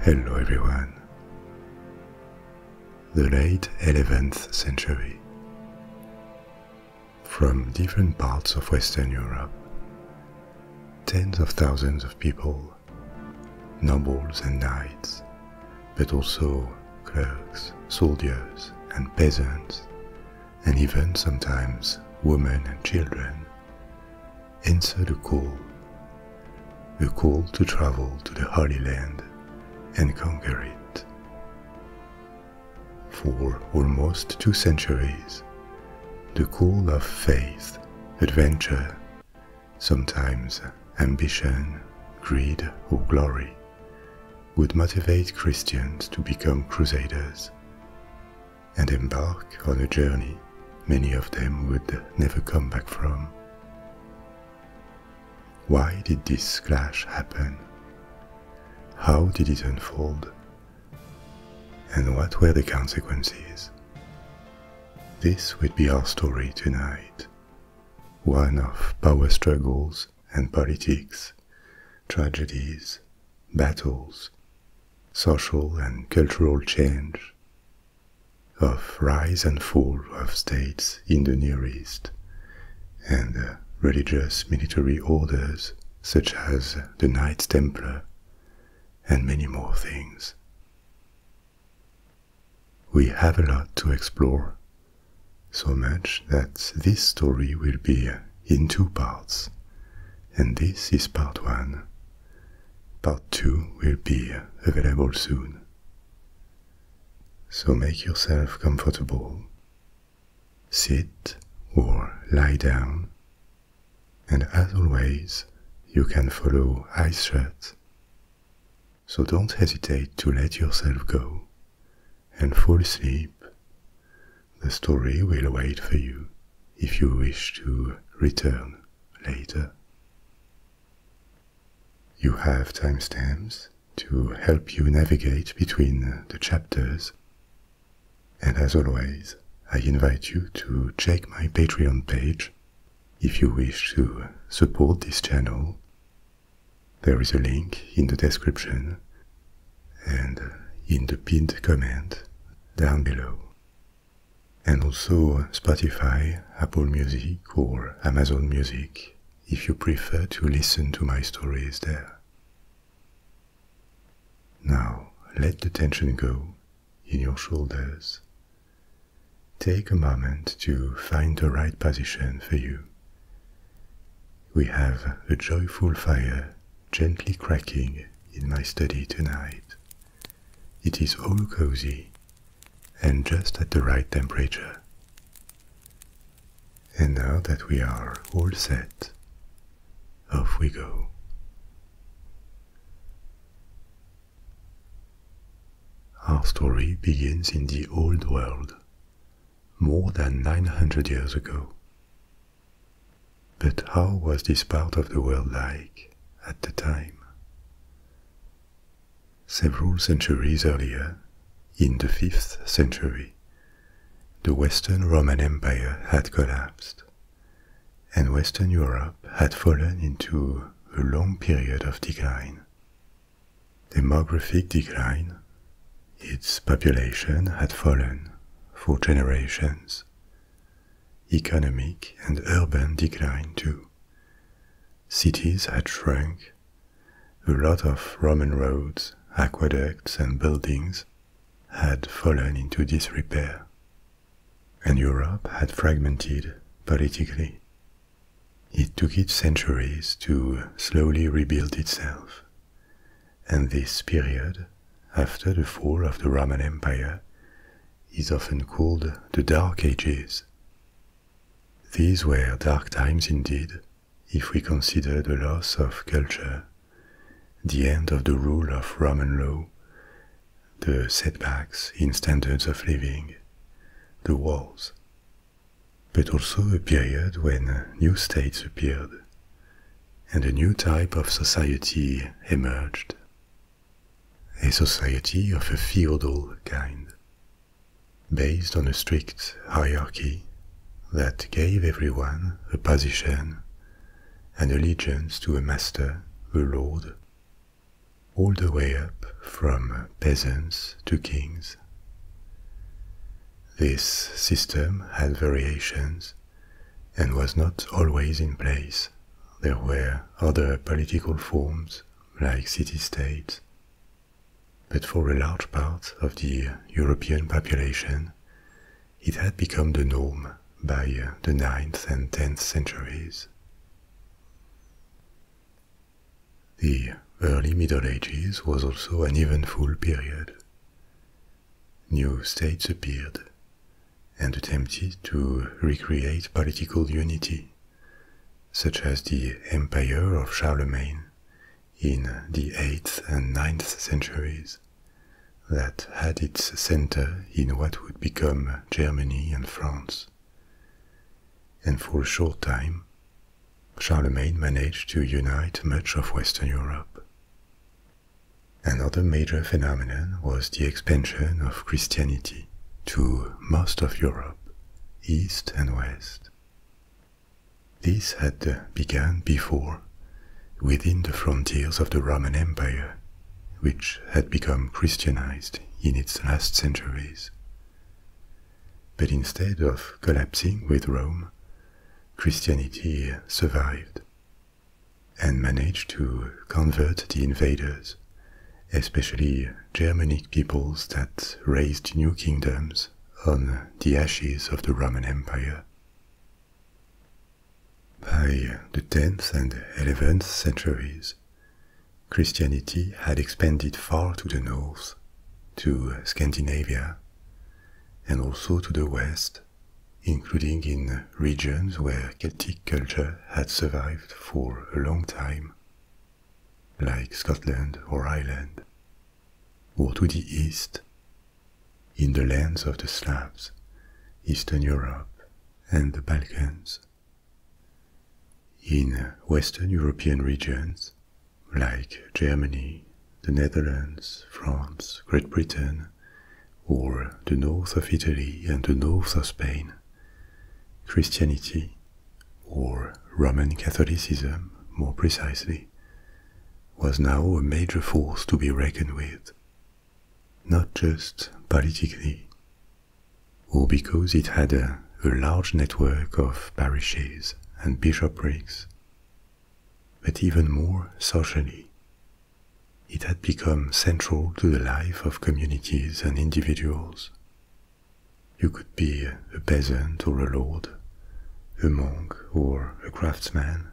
Hello everyone. The late 11th century. From different parts of Western Europe, tens of thousands of people, nobles and knights, but also clerks, soldiers, and peasants, and even sometimes women and children, Answer the call, the call to travel to the Holy Land and conquer it. For almost two centuries, the call of faith, adventure, sometimes ambition, greed, or glory, would motivate Christians to become crusaders, and embark on a journey many of them would never come back from. Why did this clash happen? How did it unfold? And what were the consequences? This would be our story tonight. One of power struggles and politics, tragedies, battles, social and cultural change, of rise and fall of states in the Near East, and uh, religious military orders such as the Knights Templar, and many more things. We have a lot to explore, so much that this story will be in two parts, and this is part one Part 2 will be available soon. So make yourself comfortable. Sit or lie down. And as always, you can follow eyes shut. So don't hesitate to let yourself go and fall asleep. The story will wait for you if you wish to return later. You have timestamps to help you navigate between uh, the chapters. And as always, I invite you to check my Patreon page if you wish to support this channel. There is a link in the description and uh, in the pinned comment down below and also Spotify, Apple Music, or Amazon Music if you prefer to listen to my stories there. Now let the tension go in your shoulders. Take a moment to find the right position for you. We have a joyful fire gently cracking in my study tonight. It is all cozy and just at the right temperature. And now that we are all set, off we go. Our story begins in the Old World, more than 900 years ago. But how was this part of the world like at the time? Several centuries earlier, in the 5th century, the Western Roman Empire had collapsed, and Western Europe had fallen into a long period of decline. Demographic decline, its population had fallen for generations, economic and urban decline too. Cities had shrunk, a lot of Roman roads, aqueducts, and buildings had fallen into disrepair, and Europe had fragmented politically. It took it centuries to slowly rebuild itself, and this period after the fall of the Roman Empire is often called the Dark Ages. These were dark times indeed, if we consider the loss of culture, the end of the rule of Roman law, the setbacks in standards of living, the wars, but also a period when new states appeared and a new type of society emerged a society of a feudal kind, based on a strict hierarchy that gave everyone a position and allegiance to a master, a lord, all the way up from peasants to kings. This system had variations and was not always in place there were other political forms like city-states. But for a large part of the European population, it had become the norm by the ninth and 10th centuries. The early Middle Ages was also an eventful period. New states appeared, and attempted to recreate political unity, such as the empire of Charlemagne in the 8th and ninth centuries, that had its center in what would become Germany and France. And for a short time, Charlemagne managed to unite much of Western Europe. Another major phenomenon was the expansion of Christianity to most of Europe, east and west. This had begun before, within the frontiers of the Roman Empire, which had become Christianized in its last centuries. But instead of collapsing with Rome, Christianity survived and managed to convert the invaders, especially Germanic peoples that raised new kingdoms on the ashes of the Roman Empire. By the 10th and 11th centuries, Christianity had expanded far to the north, to Scandinavia, and also to the west, including in regions where Celtic culture had survived for a long time, like Scotland or Ireland, or to the east, in the lands of the Slavs, Eastern Europe, and the Balkans. In Western European regions, like Germany, the Netherlands, France, Great Britain, or the north of Italy and the north of Spain, Christianity, or Roman Catholicism more precisely, was now a major force to be reckoned with, not just politically, or because it had a, large network of parishes and bishoprics, but even more socially it had become central to the life of communities and individuals. You could be a peasant or a lord, a monk or a craftsman.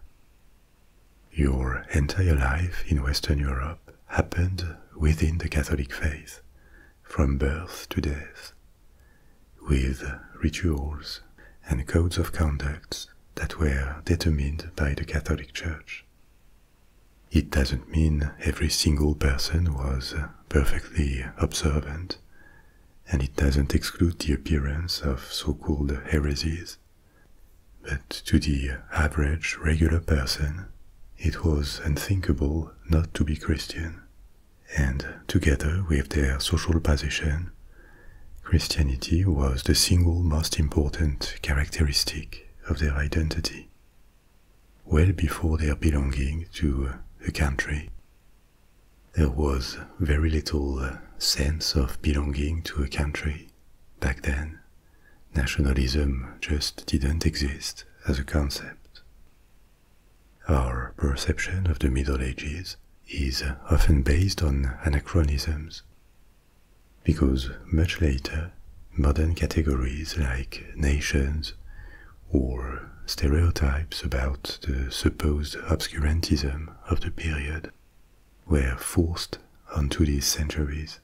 Your entire life in Western Europe happened within the Catholic faith, from birth to death, with rituals and codes of conduct that were determined by the Catholic Church. It doesn't mean every single person was perfectly observant, and it doesn't exclude the appearance of so called heresies. But to the average, regular person, it was unthinkable not to be Christian. And together with their social position, Christianity was the single most important characteristic of their identity well before their belonging to a uh, country. There was very little uh, sense of belonging to a country back then. Nationalism just didn't exist as a concept. Our perception of the Middle Ages is uh, often based on anachronisms, because much later modern categories like nations or stereotypes about the supposed obscurantism of the period were forced onto these centuries.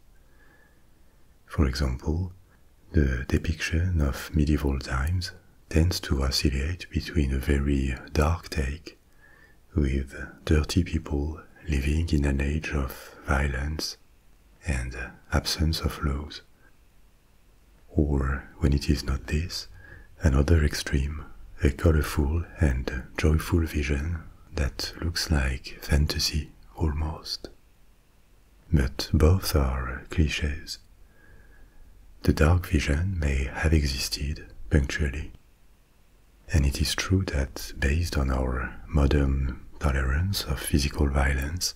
For example, the depiction of medieval times tends to oscillate between a very dark take, with dirty people living in an age of violence and uh, absence of laws. Or, when it is not this, another extreme, a colorful and joyful vision that looks like fantasy almost. But both are cliches. The dark vision may have existed punctually. And it is true that based on our modern tolerance of physical violence,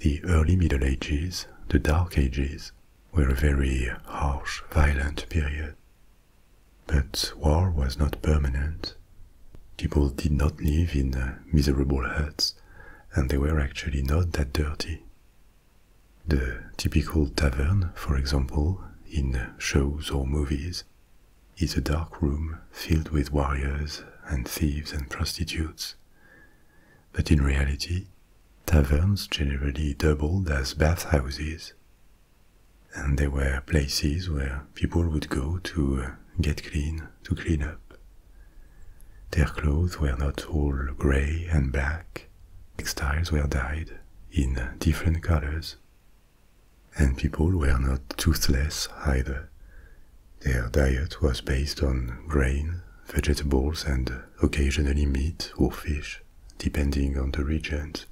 the early Middle Ages, the Dark Ages, were a very harsh, violent period. But war was not permanent. People did not live in uh, miserable huts, and they were actually not that dirty. The typical tavern, for example, in shows or movies, is a dark room filled with warriors and thieves and prostitutes. But in reality, taverns generally doubled as bathhouses, and they were places where people would go to uh, get clean, to clean up. Their clothes were not all grey and black, textiles were dyed in different colors, and people were not toothless either. Their diet was based on grain, vegetables, and occasionally meat or fish, depending on the regions.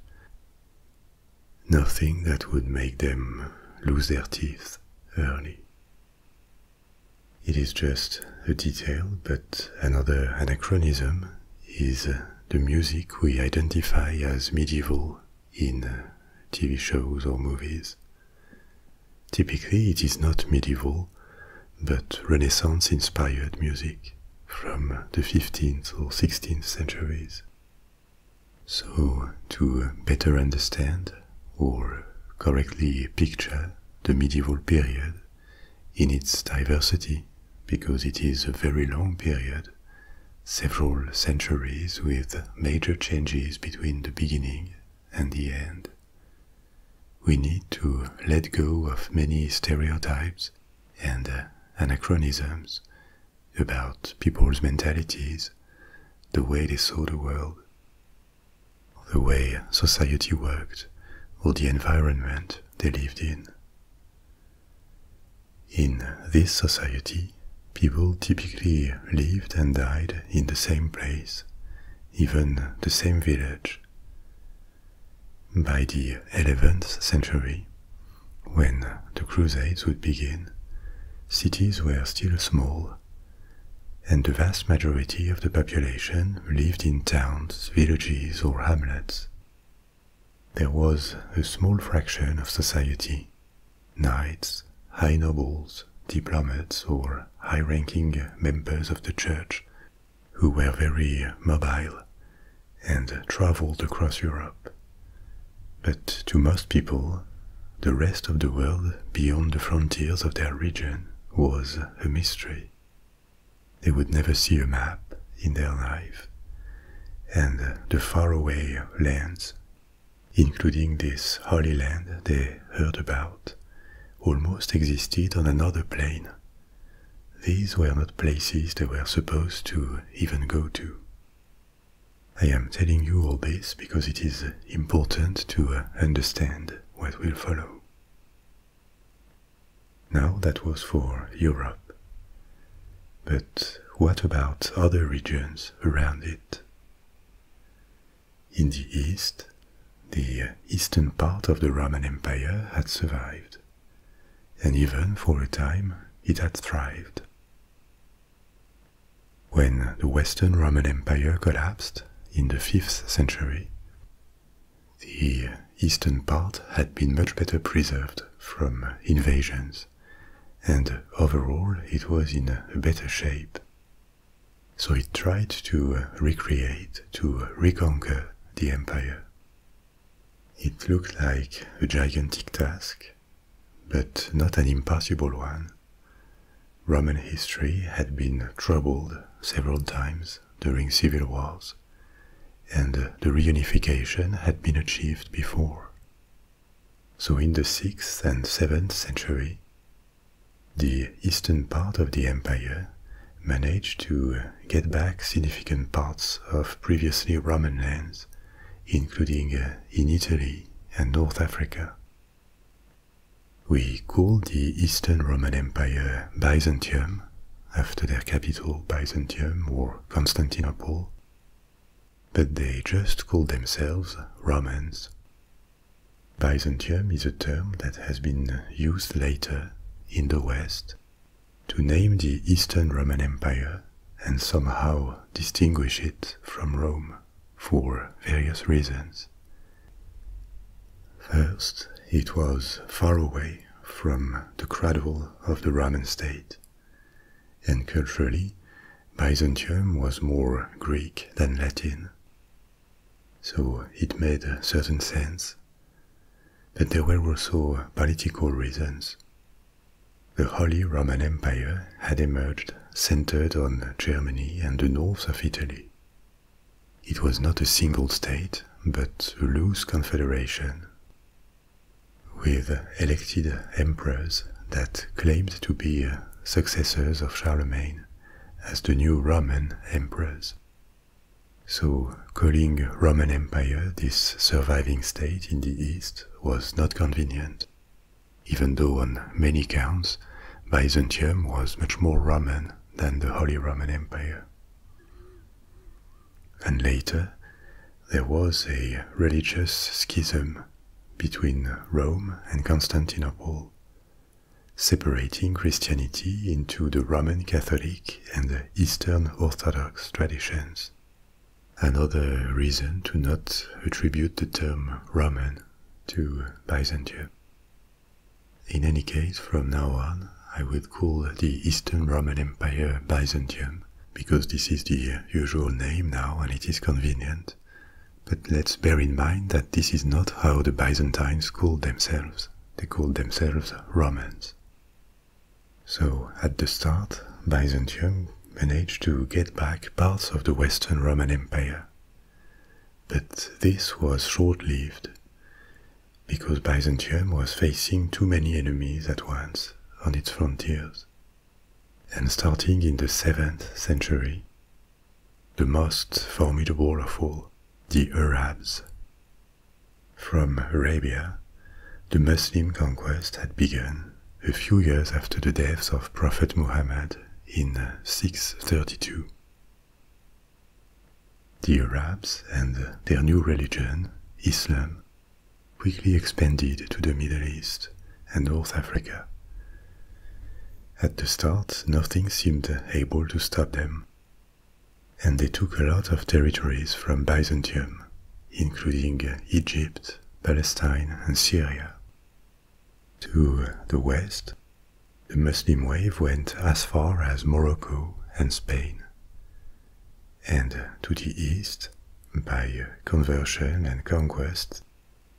Nothing that would make them lose their teeth early. It is just a detail, but another anachronism is the music we identify as medieval in uh, TV shows or movies. Typically, it is not medieval, but Renaissance inspired music from the 15th or 16th centuries. So, to better understand or correctly picture the medieval period in its diversity, because it is a very long period, several centuries with major changes between the beginning and the end. We need to let go of many stereotypes and uh, anachronisms about people's mentalities, the way they saw the world, the way society worked, or the environment they lived in. In this society, People typically lived and died in the same place, even the same village. By the 11th century, when the Crusades would begin, cities were still small, and the vast majority of the population lived in towns, villages, or hamlets. There was a small fraction of society Knights, high nobles, diplomats, or high ranking members of the church who were very mobile and traveled across Europe. But to most people, the rest of the world beyond the frontiers of their region was a mystery. They would never see a map in their life, and the faraway lands including this Holy Land they heard about, almost existed on another plane. These were not places they were supposed to even go to. I am telling you all this because it is important to uh, understand what will follow. Now that was for Europe. But what about other regions around it? In the east, the eastern part of the Roman Empire had survived, and even for a time it had thrived. When the Western Roman Empire collapsed in the 5th century, the eastern part had been much better preserved from invasions, and overall it was in a better shape so it tried to uh, recreate, to reconquer the empire. It looked like a gigantic task, but not an impossible one. Roman history had been troubled several times during civil wars, and the reunification had been achieved before. So in the 6th and 7th century, the eastern part of the empire managed to get back significant parts of previously Roman lands, including uh, in Italy and North Africa. We call the Eastern Roman Empire Byzantium, after their capital Byzantium or Constantinople, but they just called themselves Romans Byzantium is a term that has been used later in the West to name the Eastern Roman Empire and somehow distinguish it from Rome for various reasons. First, it was far away from the cradle of the Roman state, and culturally, Byzantium was more Greek than Latin. So it made a certain sense. But there were also political reasons. The Holy Roman Empire had emerged centered on Germany and the north of Italy. It was not a single state, but a loose confederation with elected emperors that claimed to be successors of Charlemagne as the new Roman emperors. So, calling Roman Empire this surviving state in the East was not convenient, even though on many counts Byzantium was much more Roman than the Holy Roman Empire. And later, there was a religious schism between Rome and Constantinople separating Christianity into the Roman Catholic and the Eastern Orthodox traditions. Another reason to not attribute the term Roman to Byzantium. In any case, from now on, I would call the Eastern Roman Empire Byzantium because this is the usual name now and it is convenient, but let's bear in mind that this is not how the Byzantines called themselves. They called themselves Romans. So, at the start, Byzantium managed to get back parts of the Western Roman Empire. But this was short-lived, because Byzantium was facing too many enemies at once on its frontiers. And starting in the 7th century, the most formidable of all, the Arabs. From Arabia, the Muslim conquest had begun a few years after the death of Prophet Muhammad in 632. The Arabs and their new religion, Islam, quickly expanded to the Middle East and North Africa, at the start, nothing seemed able to stop them, and they took a lot of territories from Byzantium, including Egypt, Palestine, and Syria. To the west, the Muslim wave went as far as Morocco and Spain. And to the east, by conversion and conquest,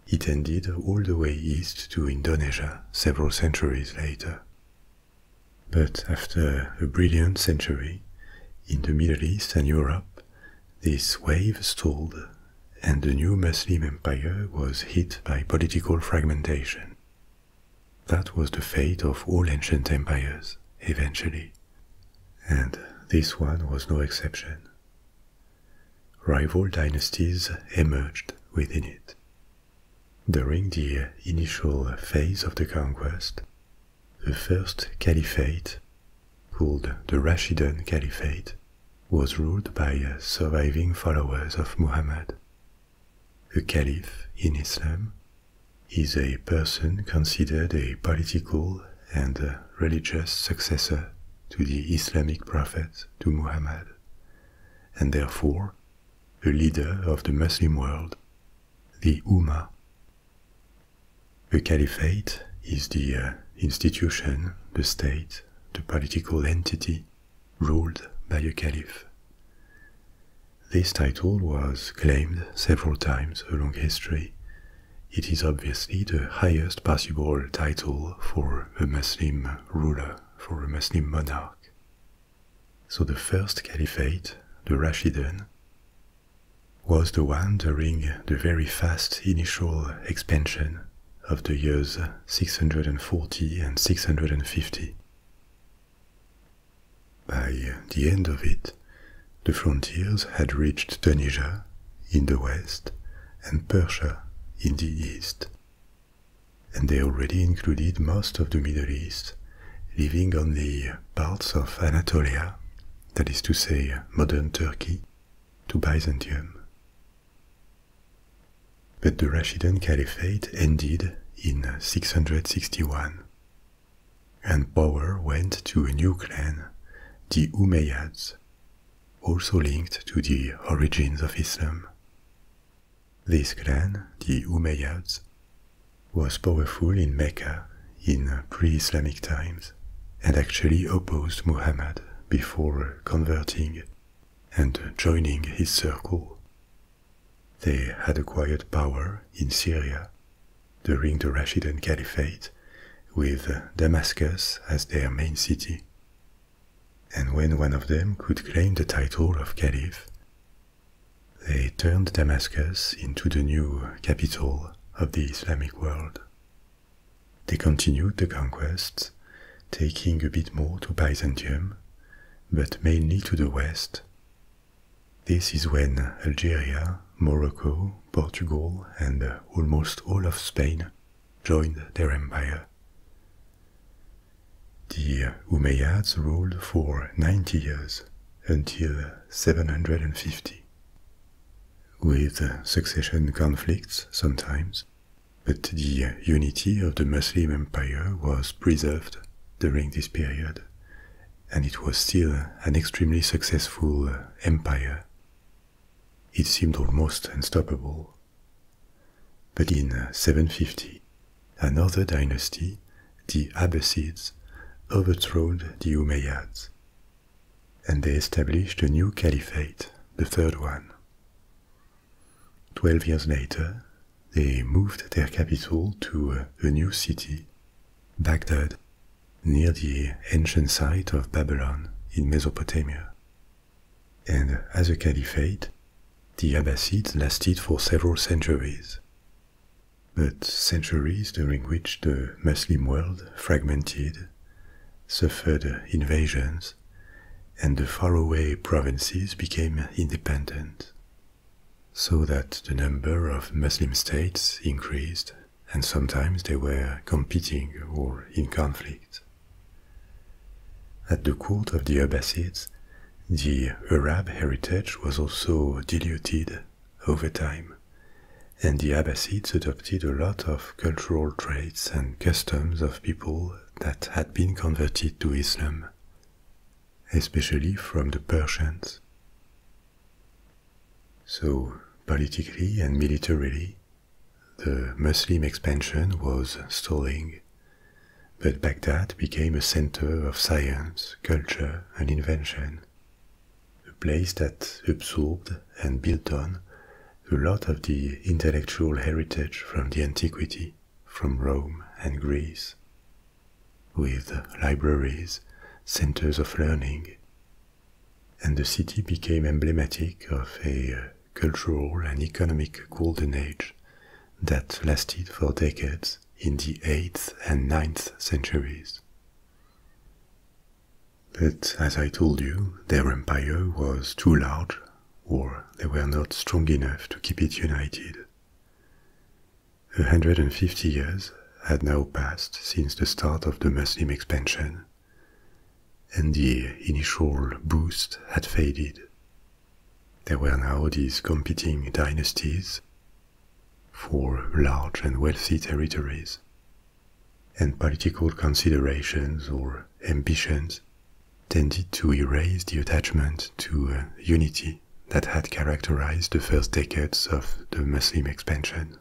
it ended all the way east to Indonesia several centuries later. But after a brilliant century, in the Middle East and Europe, this wave stalled and the new Muslim empire was hit by political fragmentation. That was the fate of all ancient empires, eventually. And this one was no exception. Rival dynasties emerged within it. During the initial phase of the conquest, the first caliphate, called the Rashidun Caliphate, was ruled by surviving followers of Muhammad. A caliph in Islam is a person considered a political and religious successor to the Islamic prophet, to Muhammad, and therefore a leader of the Muslim world, the Ummah. The Caliphate is the uh, institution, the state, the political entity ruled by a caliph. This title was claimed several times along history. It is obviously the highest possible title for a Muslim ruler for a Muslim monarch. So the first caliphate, the Rashidun, was the one during the very fast initial expansion of the years 640 and 650. By the end of it, the frontiers had reached Tunisia in the west and Persia in the east, and they already included most of the Middle East, living on the parts of Anatolia, that is to say, modern Turkey, to Byzantium. But the Rashidun Caliphate ended in 661, and power went to a new clan, the Umayyads, also linked to the origins of Islam. This clan, the Umayyads, was powerful in Mecca in pre-Islamic times and actually opposed Muhammad before converting and joining his circle. They had acquired power in Syria during the Rashidun Caliphate with Damascus as their main city and when one of them could claim the title of caliph, they turned Damascus into the new capital of the Islamic world. They continued the conquests, taking a bit more to Byzantium, but mainly to the west. This is when Algeria, Morocco, Portugal, and almost all of Spain joined their empire. The Umayyads ruled for 90 years until 750, with succession conflicts sometimes, but the unity of the Muslim empire was preserved during this period, and it was still an extremely successful empire. It seemed almost unstoppable. But in uh, 750, another dynasty, the Abbasids, overthrew the Umayyads, and they established a new caliphate, the third one. Twelve years later, they moved their capital to uh, a new city, Baghdad, near the ancient site of Babylon in Mesopotamia, and as a caliphate, the Abbasids lasted for several centuries. But centuries during which the Muslim world fragmented, suffered invasions, and the faraway provinces became independent, so that the number of Muslim states increased and sometimes they were competing or in conflict. At the court of the Abbasids, the Arab heritage was also diluted over time, and the Abbasids adopted a lot of cultural traits and customs of people that had been converted to Islam, especially from the Persians. So, politically and militarily, the Muslim expansion was stalling, but Baghdad became a center of science, culture, and invention, a place that absorbed and built on a lot of the intellectual heritage from the antiquity, from Rome and Greece, with libraries, centers of learning, and the city became emblematic of a cultural and economic golden age that lasted for decades in the 8th and ninth centuries. But as I told you, their empire was too large, or they were not strong enough to keep it united. A 150 years had now passed since the start of the Muslim expansion, and the initial boost had faded, there were now these competing dynasties for large and wealthy territories, and political considerations or ambitions tended to erase the attachment to uh, unity that had characterized the first decades of the Muslim expansion.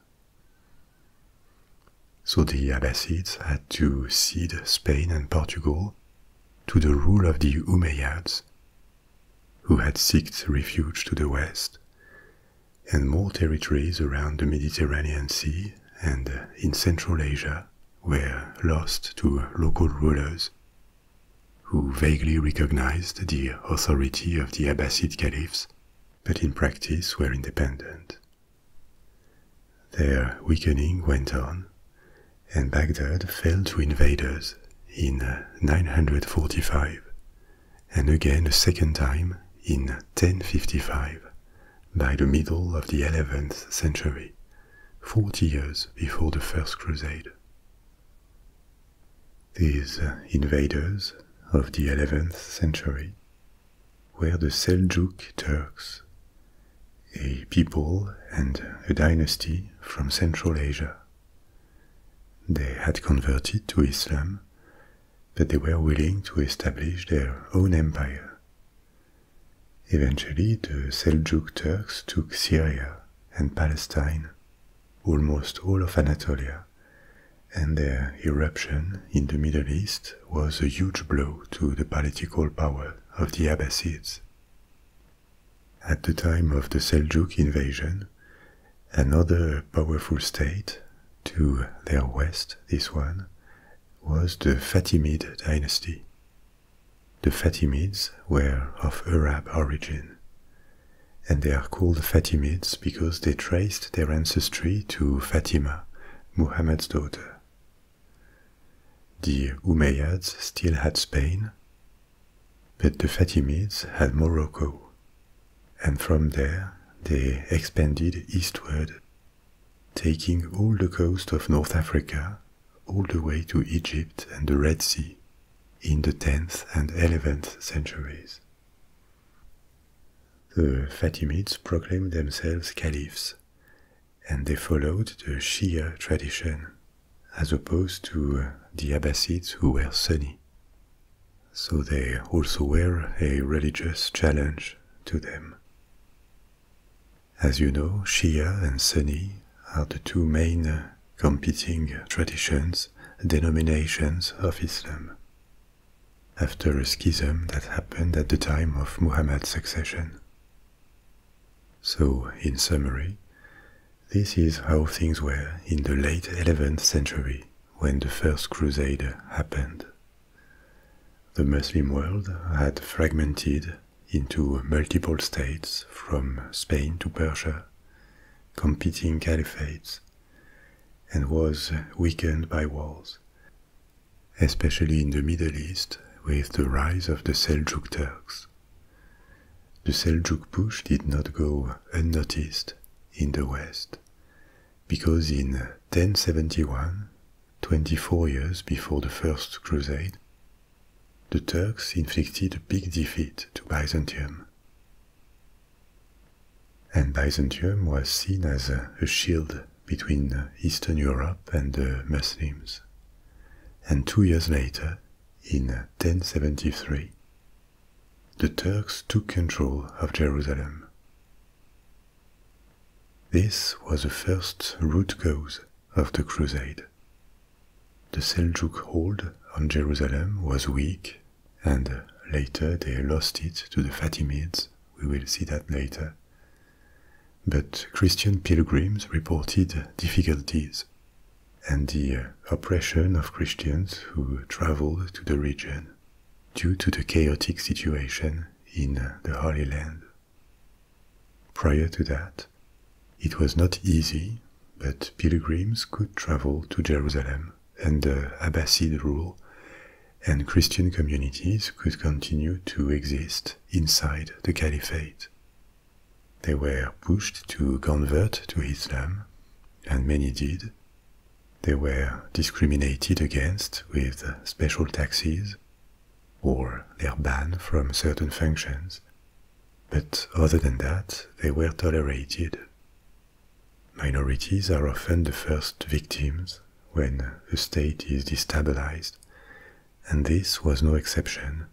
So the Abbasids had to cede Spain and Portugal to the rule of the Umayyads, who had sought refuge to the west, and more territories around the Mediterranean Sea and in Central Asia were lost to local rulers who vaguely recognized the authority of the Abbasid caliphs, but in practice were independent. Their weakening went on, and Baghdad fell to invaders in 945 and again a second time in 1055 by the middle of the 11th century, 40 years before the First Crusade. These invaders of the 11th century were the Seljuk Turks, a people and a dynasty from Central Asia. They had converted to Islam, but they were willing to establish their own empire. Eventually, the Seljuk Turks took Syria and Palestine, almost all of Anatolia, and their eruption in the Middle East was a huge blow to the political power of the Abbasids. At the time of the Seljuk invasion, another powerful state, to their west this one, was the Fatimid dynasty. The Fatimids were of Arab origin, and they are called Fatimids because they traced their ancestry to Fatima, Muhammad's daughter. The Umayyads still had Spain, but the Fatimids had Morocco, and from there they expanded eastward, taking all the coast of North Africa all the way to Egypt and the Red Sea in the 10th and 11th centuries. The Fatimids proclaimed themselves caliphs and they followed the Shia tradition, as opposed to uh, the Abbasids who were Sunni. So they also were a religious challenge to them. As you know, Shia and Sunni are the two main uh, competing traditions, denominations of Islam. After a schism that happened at the time of Muhammad's succession, so, in summary, this is how things were in the late 11th century when the First Crusade happened. The Muslim world had fragmented into multiple states from Spain to Persia, competing caliphates, and was weakened by wars, especially in the Middle East with the rise of the Seljuk Turks. The Seljuk push did not go unnoticed in the West, because in 1071, 24 years before the First Crusade, the Turks inflicted a big defeat to Byzantium. And Byzantium was seen as a shield between Eastern Europe and the Muslims and two years later, in 1073, the Turks took control of Jerusalem. This was the first root cause of the crusade. The Seljuk hold on Jerusalem was weak, and later they lost it to the Fatimids, we will see that later but Christian pilgrims reported difficulties and the uh, oppression of Christians who traveled to the region due to the chaotic situation in uh, the Holy Land. Prior to that, it was not easy, but pilgrims could travel to Jerusalem under Abbasid rule, and Christian communities could continue to exist inside the Caliphate they were pushed to convert to Islam, and many did. They were discriminated against with special taxes or their ban from certain functions, but other than that, they were tolerated. Minorities are often the first victims when a state is destabilized and this was no exception.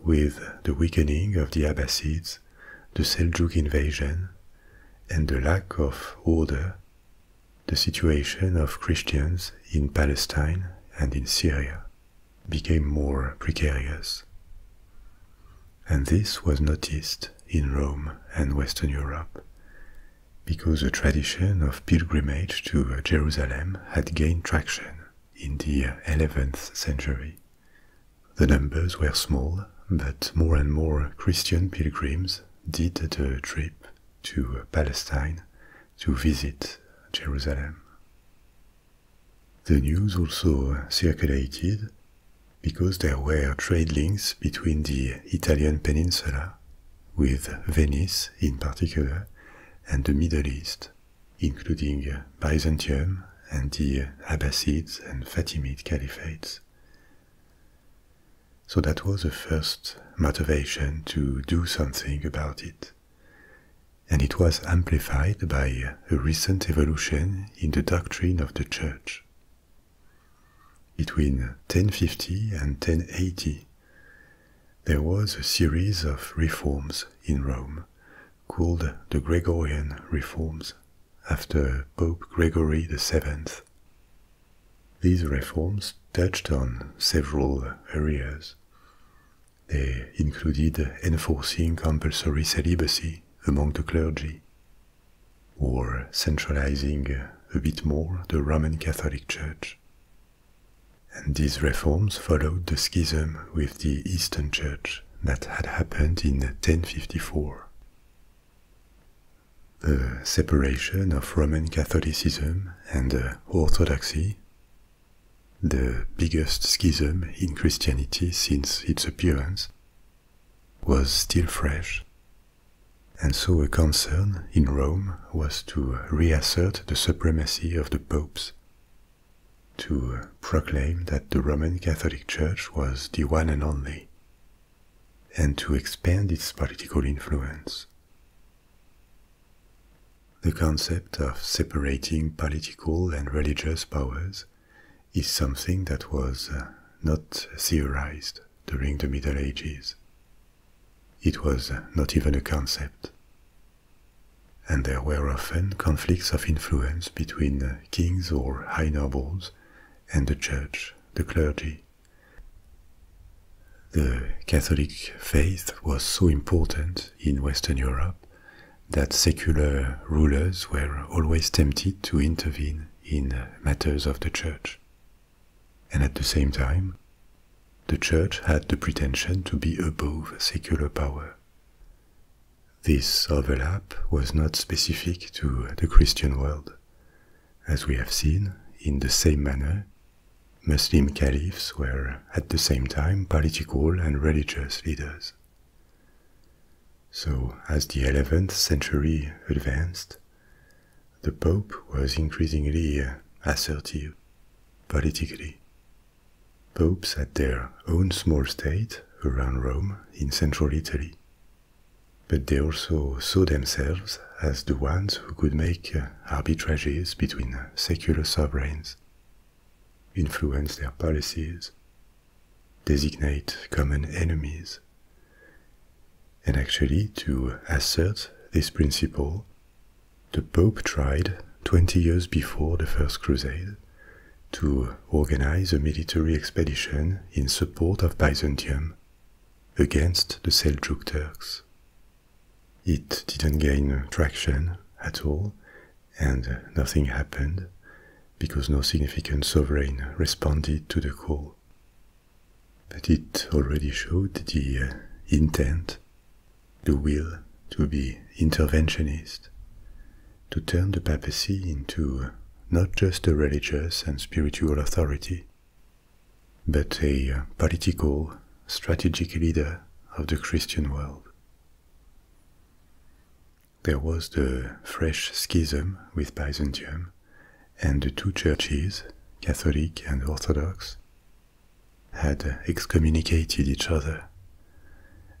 With the weakening of the Abbasids, the Seljuk invasion, and the lack of order, the situation of Christians in Palestine and in Syria became more precarious. And this was noticed in Rome and Western Europe, because the tradition of pilgrimage to Jerusalem had gained traction in the 11th century. The numbers were small, but more and more Christian pilgrims did the trip to Palestine to visit Jerusalem. The news also circulated because there were trade links between the Italian peninsula, with Venice in particular, and the Middle East, including Byzantium and the Abbasids and Fatimid caliphates. So that was the first motivation to do something about it. And it was amplified by a recent evolution in the doctrine of the Church. Between 1050 and 1080, there was a series of reforms in Rome called the Gregorian reforms after Pope Gregory VII. These reforms touched on several areas. They included enforcing compulsory celibacy among the clergy, or centralizing a bit more the Roman Catholic Church, and these reforms followed the schism with the Eastern Church that had happened in 1054. The separation of Roman Catholicism and Orthodoxy, the biggest schism in Christianity since its appearance, was still fresh, and so a concern in Rome was to reassert the supremacy of the popes to proclaim that the Roman Catholic Church was the one and only, and to expand its political influence. The concept of separating political and religious powers is something that was uh, not theorized during the Middle Ages. It was uh, not even a concept and there were often conflicts of influence between kings or high nobles and the church, the clergy. The Catholic faith was so important in Western Europe that secular rulers were always tempted to intervene in matters of the church. And at the same time, the church had the pretension to be above secular power. This overlap was not specific to the Christian world. As we have seen, in the same manner, Muslim caliphs were at the same time political and religious leaders. So, as the 11th century advanced, the Pope was increasingly assertive politically Popes had their own small state around Rome in central Italy, but they also saw themselves as the ones who could make uh, arbitrages between secular sovereigns, influence their policies, designate common enemies, and actually to assert this principle the Pope tried, 20 years before the First Crusade, to organize a military expedition in support of Byzantium against the Seljuk Turks. It didn't gain traction at all, and nothing happened because no significant sovereign responded to the call. But it already showed the intent the will to be interventionist, to turn the papacy into not just a religious and spiritual authority, but a uh, political, strategic leader of the Christian world. There was the fresh schism with Byzantium and the two churches, Catholic and Orthodox, had excommunicated each other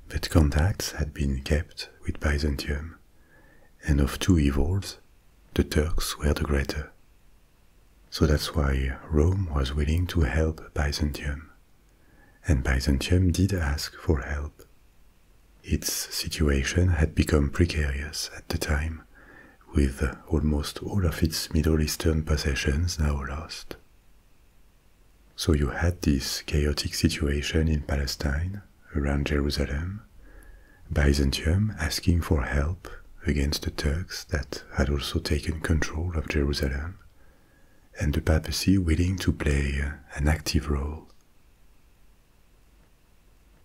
but contacts had been kept with Byzantium, and of two evils, the Turks were the greater. So that's why Rome was willing to help Byzantium. And Byzantium did ask for help. Its situation had become precarious at the time, with almost all of its Middle Eastern possessions now lost. So you had this chaotic situation in Palestine, around Jerusalem, Byzantium asking for help against the Turks that had also taken control of Jerusalem, and the papacy willing to play an active role.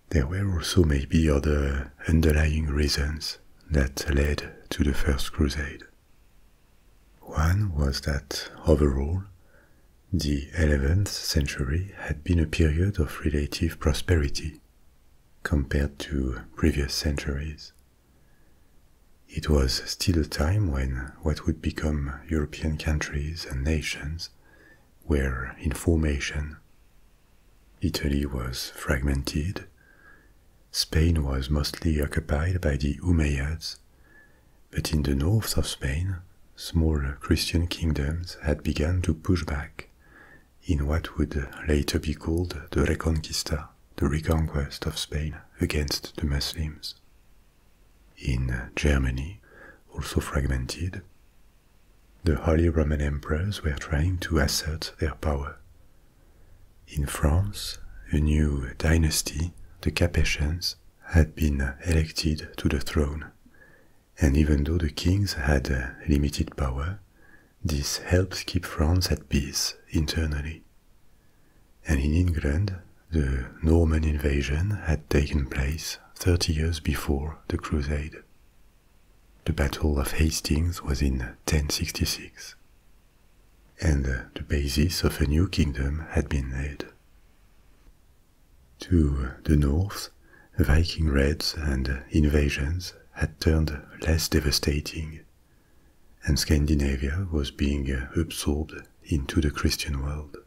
There were also maybe other underlying reasons that led to the First Crusade. One was that overall, the 11th century had been a period of relative prosperity compared to previous centuries. It was still a time when what would become European countries and nations were in formation. Italy was fragmented, Spain was mostly occupied by the Umayyads, but in the north of Spain, smaller Christian kingdoms had begun to push back in what would later be called the Reconquista, the reconquest of Spain against the Muslims. In Germany, also fragmented, the Holy Roman Emperors were trying to assert their power. In France, a new dynasty, the Capetians, had been elected to the throne, and even though the kings had limited power, this helped keep France at peace internally. And in England, the Norman invasion had taken place 30 years before the Crusade. The Battle of Hastings was in 1066 and uh, the basis of a new kingdom had been laid. To uh, the north, Viking raids and uh, invasions had turned less devastating, and Scandinavia was being absorbed into the Christian world.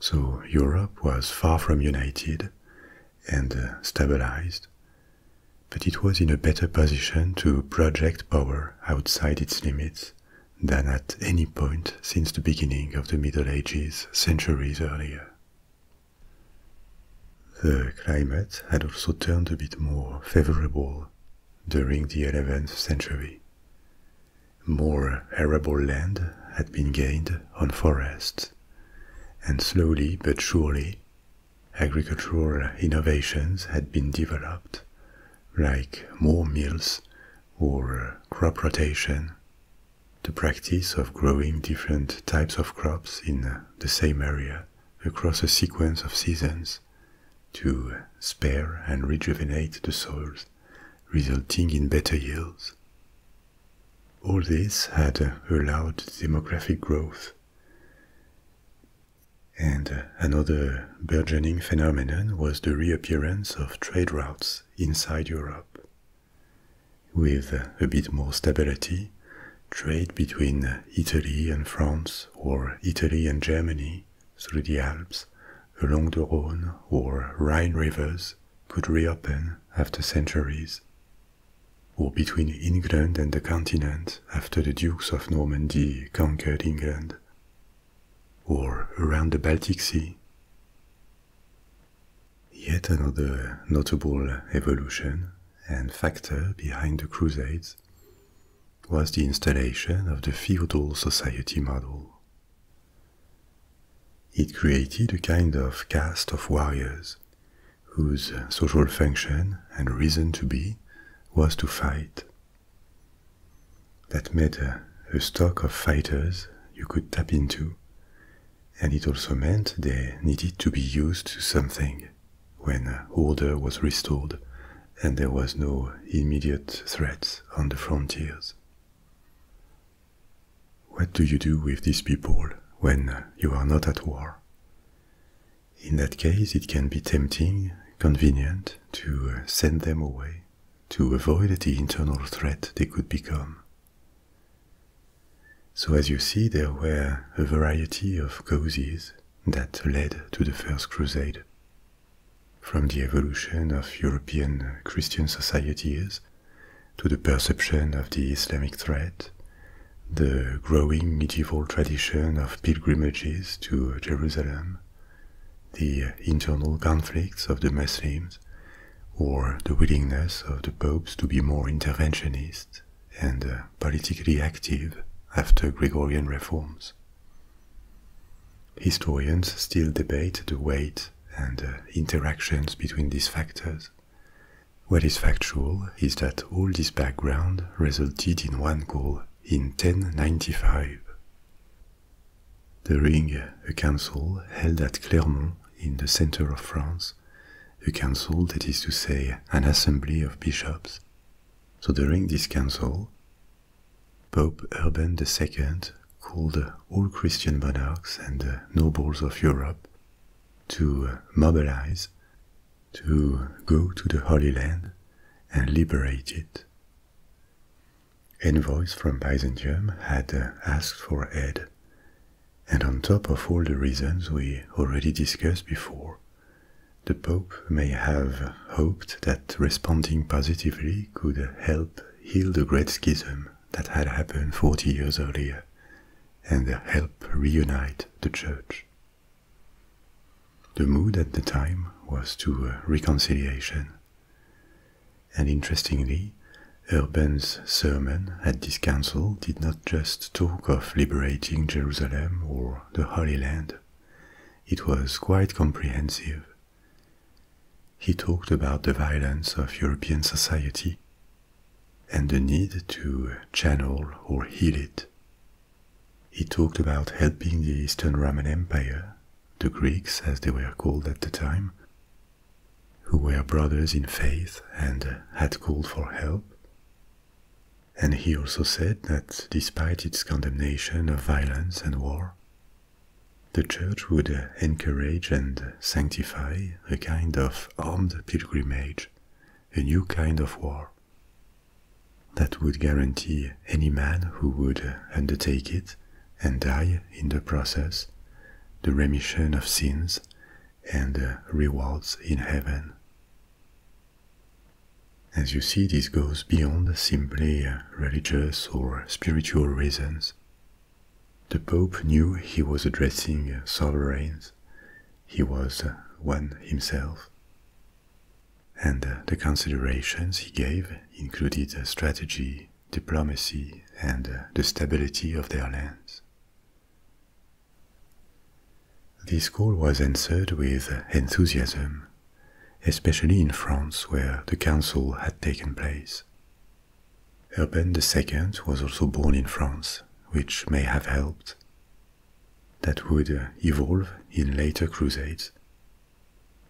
So Europe was far from united and stabilized, but it was in a better position to project power outside its limits than at any point since the beginning of the Middle Ages centuries earlier. The climate had also turned a bit more favorable during the 11th century. More arable land had been gained on forests, and slowly but surely, agricultural innovations had been developed like more mills or uh, crop rotation, the practice of growing different types of crops in uh, the same area across a sequence of seasons to spare and rejuvenate the soils, resulting in better yields. All this had uh, allowed demographic growth. And uh, another burgeoning phenomenon was the reappearance of trade routes inside Europe. With uh, a bit more stability, trade between uh, Italy and France or Italy and Germany through the Alps, along the Rhone or Rhine rivers could reopen after centuries, or between England and the continent after the Dukes of Normandy conquered England or around the Baltic Sea. Yet another notable evolution and factor behind the Crusades was the installation of the feudal society model. It created a kind of caste of warriors whose social function and reason to be was to fight. That made a stock of fighters you could tap into, and it also meant they needed to be used to something when order was restored and there was no immediate threat on the frontiers. What do you do with these people when you are not at war? In that case, it can be tempting, convenient to send them away to avoid the internal threat they could become. So, as you see, there were a variety of causes that led to the First Crusade, from the evolution of European Christian societies to the perception of the Islamic threat, the growing medieval tradition of pilgrimages to Jerusalem, the uh, internal conflicts of the Muslims, or the willingness of the popes to be more interventionist and uh, politically active after Gregorian reforms. Historians still debate the weight and uh, interactions between these factors. What is factual is that all this background resulted in one goal in 1095 during a council held at Clermont in the center of France, a council that is to say an assembly of bishops. So during this council, Pope Urban II called all Christian monarchs and nobles of Europe to mobilize, to go to the Holy Land and liberate it envoys from Byzantium had uh, asked for aid, and on top of all the reasons we already discussed before, the Pope may have hoped that responding positively could help heal the great schism that had happened 40 years earlier and help reunite the Church. The mood at the time was to uh, reconciliation and interestingly, Urban's sermon at this council did not just talk of liberating Jerusalem or the Holy Land, it was quite comprehensive. He talked about the violence of European society and the need to channel or heal it. He talked about helping the Eastern Roman Empire the Greeks as they were called at the time, who were brothers in faith and had called for help. And he also said that despite its condemnation of violence and war, the Church would encourage and sanctify a kind of armed pilgrimage, a new kind of war, that would guarantee any man who would undertake it and die in the process, the remission of sins, and the rewards in heaven. As you see, this goes beyond simply uh, religious or spiritual reasons. The Pope knew he was addressing uh, sovereigns. He was uh, one himself. And the considerations he gave included strategy diplomacy, and uh, the stability of their lands. This call was answered with enthusiasm, especially in France where the council had taken place. Urban II was also born in France, which may have helped. That would uh, evolve in later crusades,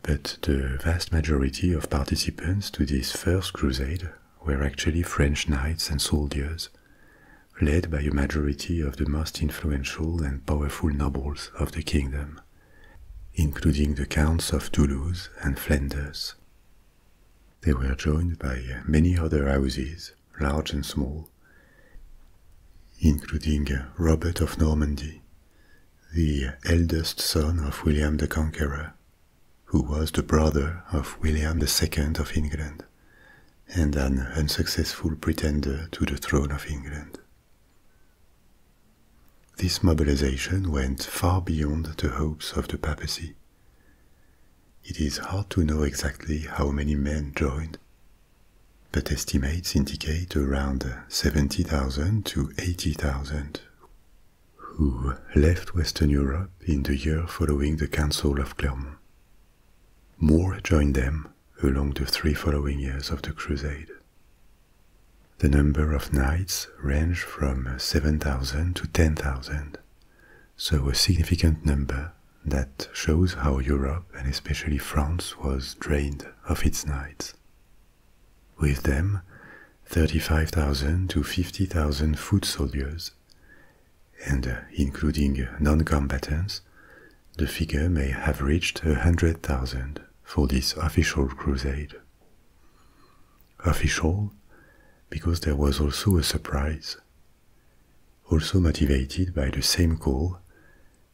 but the vast majority of participants to this first crusade were actually French knights and soldiers, led by a majority of the most influential and powerful nobles of the kingdom, including the counts of Toulouse and Flanders. They were joined by many other houses, large and small, including Robert of Normandy, the eldest son of William the Conqueror, who was the brother of William II of England and an unsuccessful pretender to the throne of England. This mobilization went far beyond the hopes of the papacy. It is hard to know exactly how many men joined, but estimates indicate around 70,000 to 80,000 who left Western Europe in the year following the Council of Clermont. More joined them along the three following years of the Crusade. The number of knights ranged from 7,000 to 10,000, so a significant number that shows how Europe and especially France was drained of its knights. With them, 35,000 to 50,000 foot soldiers, and uh, including non-combatants, the figure may have reached 100,000 for this official crusade. Official because there was also a surprise. Also motivated by the same call,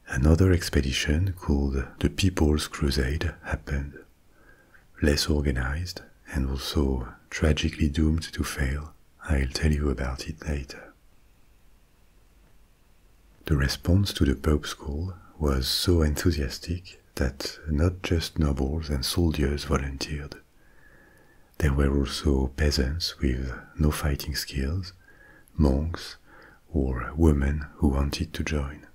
another expedition called the People's Crusade happened less organized, and also tragically doomed to fail. I'll tell you about it later. The response to the Pope's call was so enthusiastic that not just nobles and soldiers volunteered. There were also peasants with no fighting skills, monks, or women who wanted to join.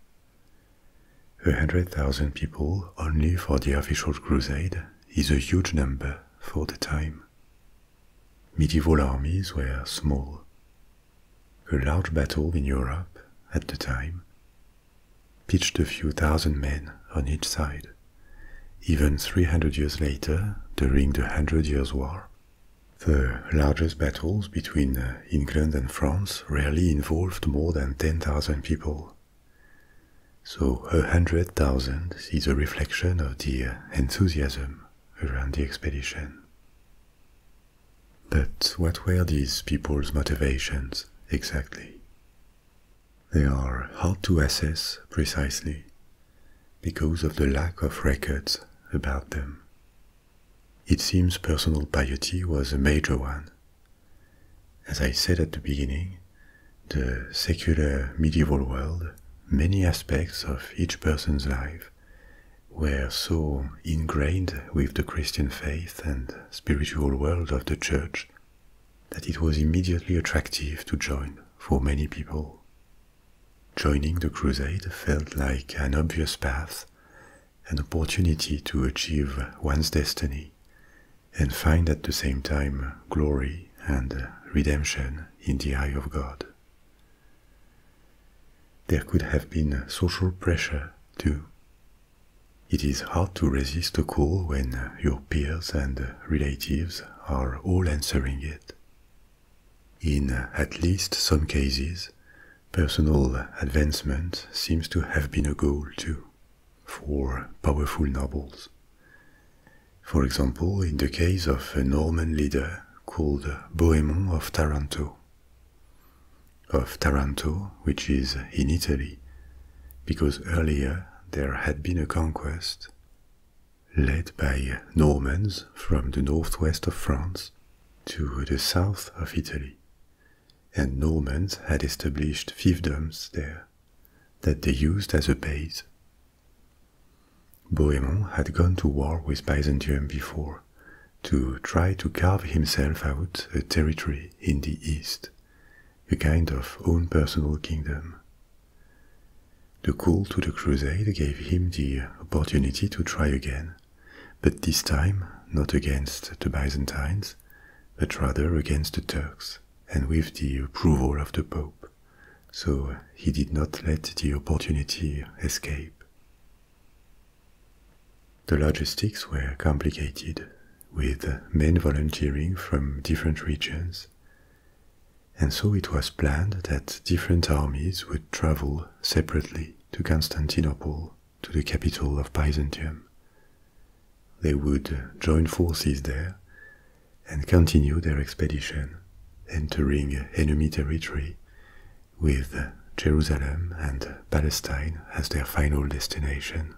A hundred thousand people only for the official crusade is a huge number for the time. Medieval armies were small. A large battle in Europe at the time pitched a few thousand men on each side. Even 300 years later, during the Hundred Years' War, the largest battles between uh, England and France rarely involved more than 10,000 people. So a hundred thousand is a reflection of the uh, enthusiasm around the expedition. But what were these people's motivations exactly? They are hard to assess precisely because of the lack of records about them. It seems personal piety was a major one. As I said at the beginning, the secular medieval world, many aspects of each person's life were so ingrained with the Christian faith and spiritual world of the Church that it was immediately attractive to join for many people. Joining the crusade felt like an obvious path an opportunity to achieve one's destiny and find at the same time glory and redemption in the eye of God. There could have been social pressure too. It is hard to resist a call when your peers and relatives are all answering it. In at least some cases, Personal advancement seems to have been a goal too, for powerful nobles. For example, in the case of a Norman leader called Bohemond of Taranto. Of Taranto, which is in Italy, because earlier there had been a conquest led by Normans from the northwest of France to the south of Italy, and Normans had established fiefdoms there that they used as a base. Bohemond had gone to war with Byzantium before to try to carve himself out a territory in the east, a kind of own personal kingdom. The call to the crusade gave him the opportunity to try again but this time not against the Byzantines, but rather against the Turks, and with the approval of the Pope. So he did not let the opportunity escape. The logistics were complicated, with men volunteering from different regions, and so it was planned that different armies would travel separately to Constantinople to the capital of Byzantium. They would join forces there and continue their expedition, entering enemy territory with Jerusalem and Palestine as their final destination.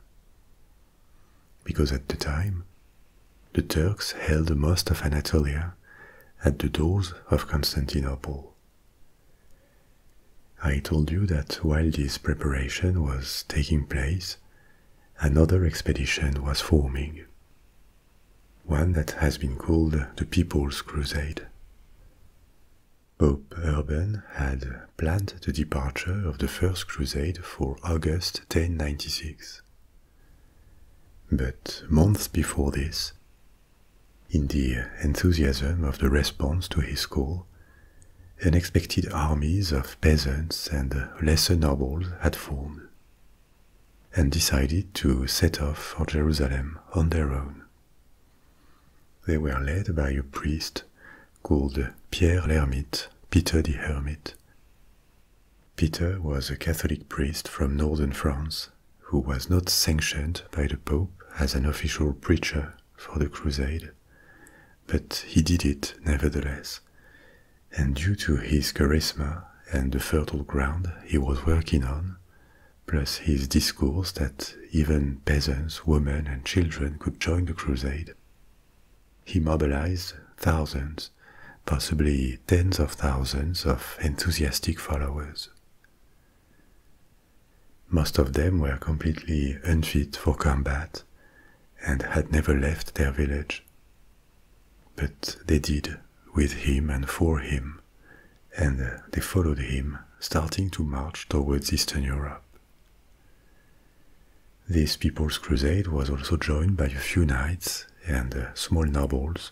Because at the time, the Turks held most of Anatolia at the doors of Constantinople. I told you that while this preparation was taking place, another expedition was forming, one that has been called the People's Crusade. Pope Urban had planned the departure of the First Crusade for August 1096. But months before this, in the enthusiasm of the response to his call, unexpected armies of peasants and lesser nobles had formed, and decided to set off for Jerusalem on their own. They were led by a priest called Pierre l'Hermite, Peter the Hermit. Peter was a Catholic priest from northern France who was not sanctioned by the Pope as an official preacher for the crusade, but he did it nevertheless, and due to his charisma and the fertile ground he was working on, plus his discourse that even peasants, women, and children could join the crusade, he mobilized thousands, possibly tens of thousands, of enthusiastic followers. Most of them were completely unfit for combat and had never left their village. But they did, with him and for him, and they followed him, starting to march towards Eastern Europe. This People's Crusade was also joined by a few knights and uh, small nobles.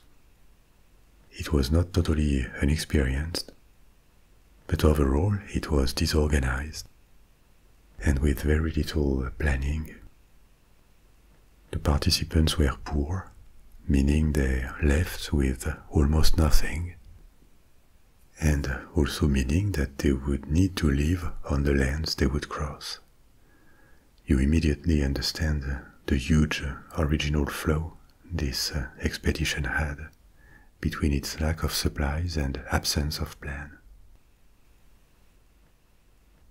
It was not totally unexperienced, but overall, it was disorganized and with very little planning. The participants were poor, meaning they left with almost nothing, and also meaning that they would need to live on the lands they would cross. You immediately understand the huge original flow this uh, expedition had between its lack of supplies and absence of plan.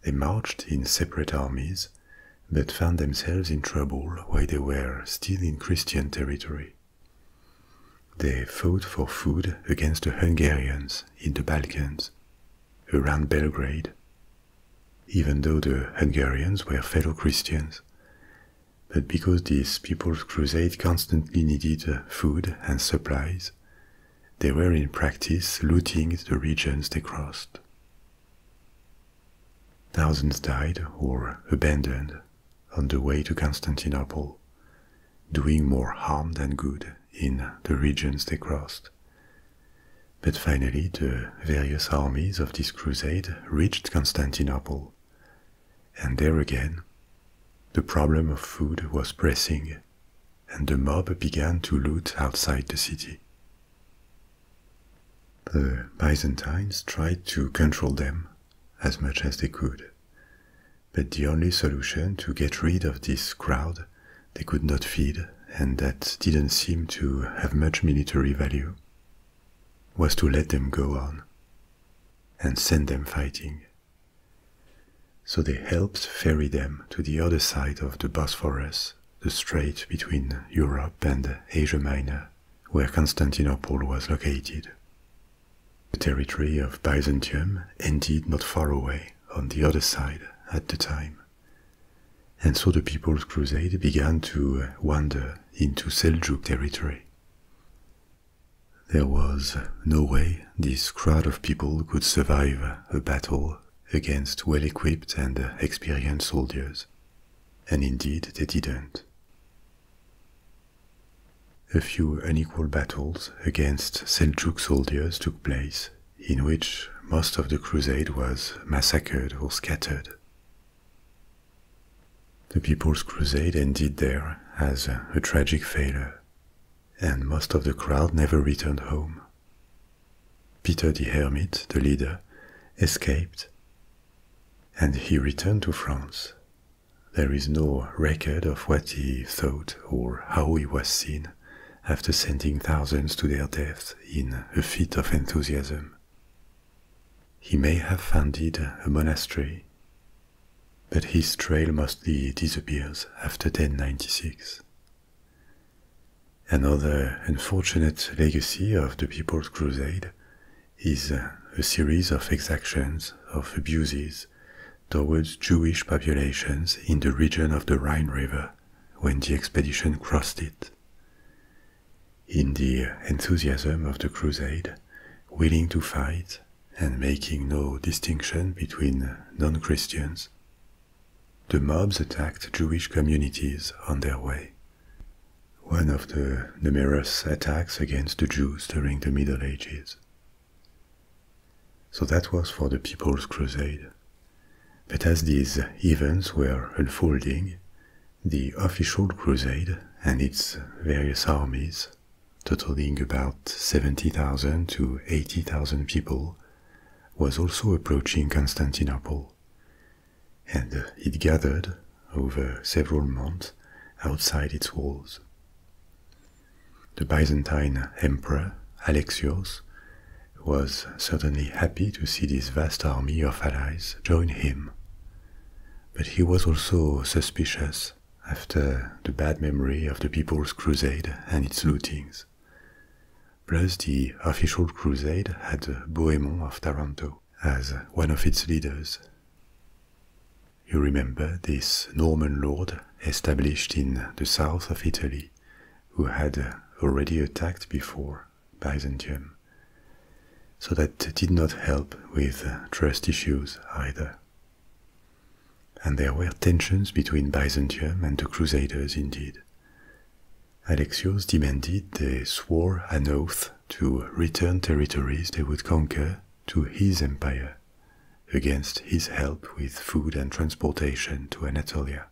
They marched in separate armies, but found themselves in trouble while they were still in Christian territory. They fought for food against the Hungarians in the Balkans, around Belgrade, even though the Hungarians were fellow Christians, but because these People's Crusade constantly needed uh, food and supplies, they were in practice looting the regions they crossed. Thousands died or abandoned on the way to Constantinople, doing more harm than good in the regions they crossed. But finally, the various armies of this crusade reached Constantinople and there again, the problem of food was pressing, and the mob began to loot outside the city. The Byzantines tried to control them as much as they could, but the only solution to get rid of this crowd they could not feed and that didn't seem to have much military value was to let them go on and send them fighting so they helped ferry them to the other side of the Bosphorus, the strait between Europe and Asia Minor, where Constantinople was located. The territory of Byzantium ended not far away on the other side at the time. And so the People's Crusade began to wander into Seljuk territory. There was no way this crowd of people could survive a battle against well equipped and experienced soldiers, and indeed they didn't. A few unequal battles against Seljuk soldiers took place, in which most of the crusade was massacred or scattered. The People's Crusade ended there as a tragic failure and most of the crowd never returned home. Peter the Hermit, the leader, escaped, and he returned to France. There is no record of what he thought or how he was seen after sending thousands to their death in a fit of enthusiasm. He may have founded a monastery but his trail mostly disappears after 1096. Another unfortunate legacy of the People's Crusade is uh, a series of exactions of abuses towards Jewish populations in the region of the Rhine River when the expedition crossed it. In the enthusiasm of the crusade, willing to fight and making no distinction between non-Christians. The mobs attacked Jewish communities on their way. One of the numerous attacks against the Jews during the Middle Ages. So that was for the People's Crusade. But as these events were unfolding, the official crusade and its various armies totaling about 70,000 to 80,000 people, was also approaching Constantinople, and uh, it gathered over several months outside its walls. The Byzantine emperor, Alexios, was certainly happy to see this vast army of allies join him, but he was also suspicious after the bad memory of the People's Crusade and its lootings. Plus, the official crusade had Bohemond of Taranto as one of its leaders. You remember this Norman lord established in the south of Italy, who had already attacked before Byzantium. So that did not help with trust issues either. And there were tensions between Byzantium and the Crusaders indeed. Alexios demanded they swore an oath to return territories they would conquer to his empire, against his help with food and transportation to Anatolia.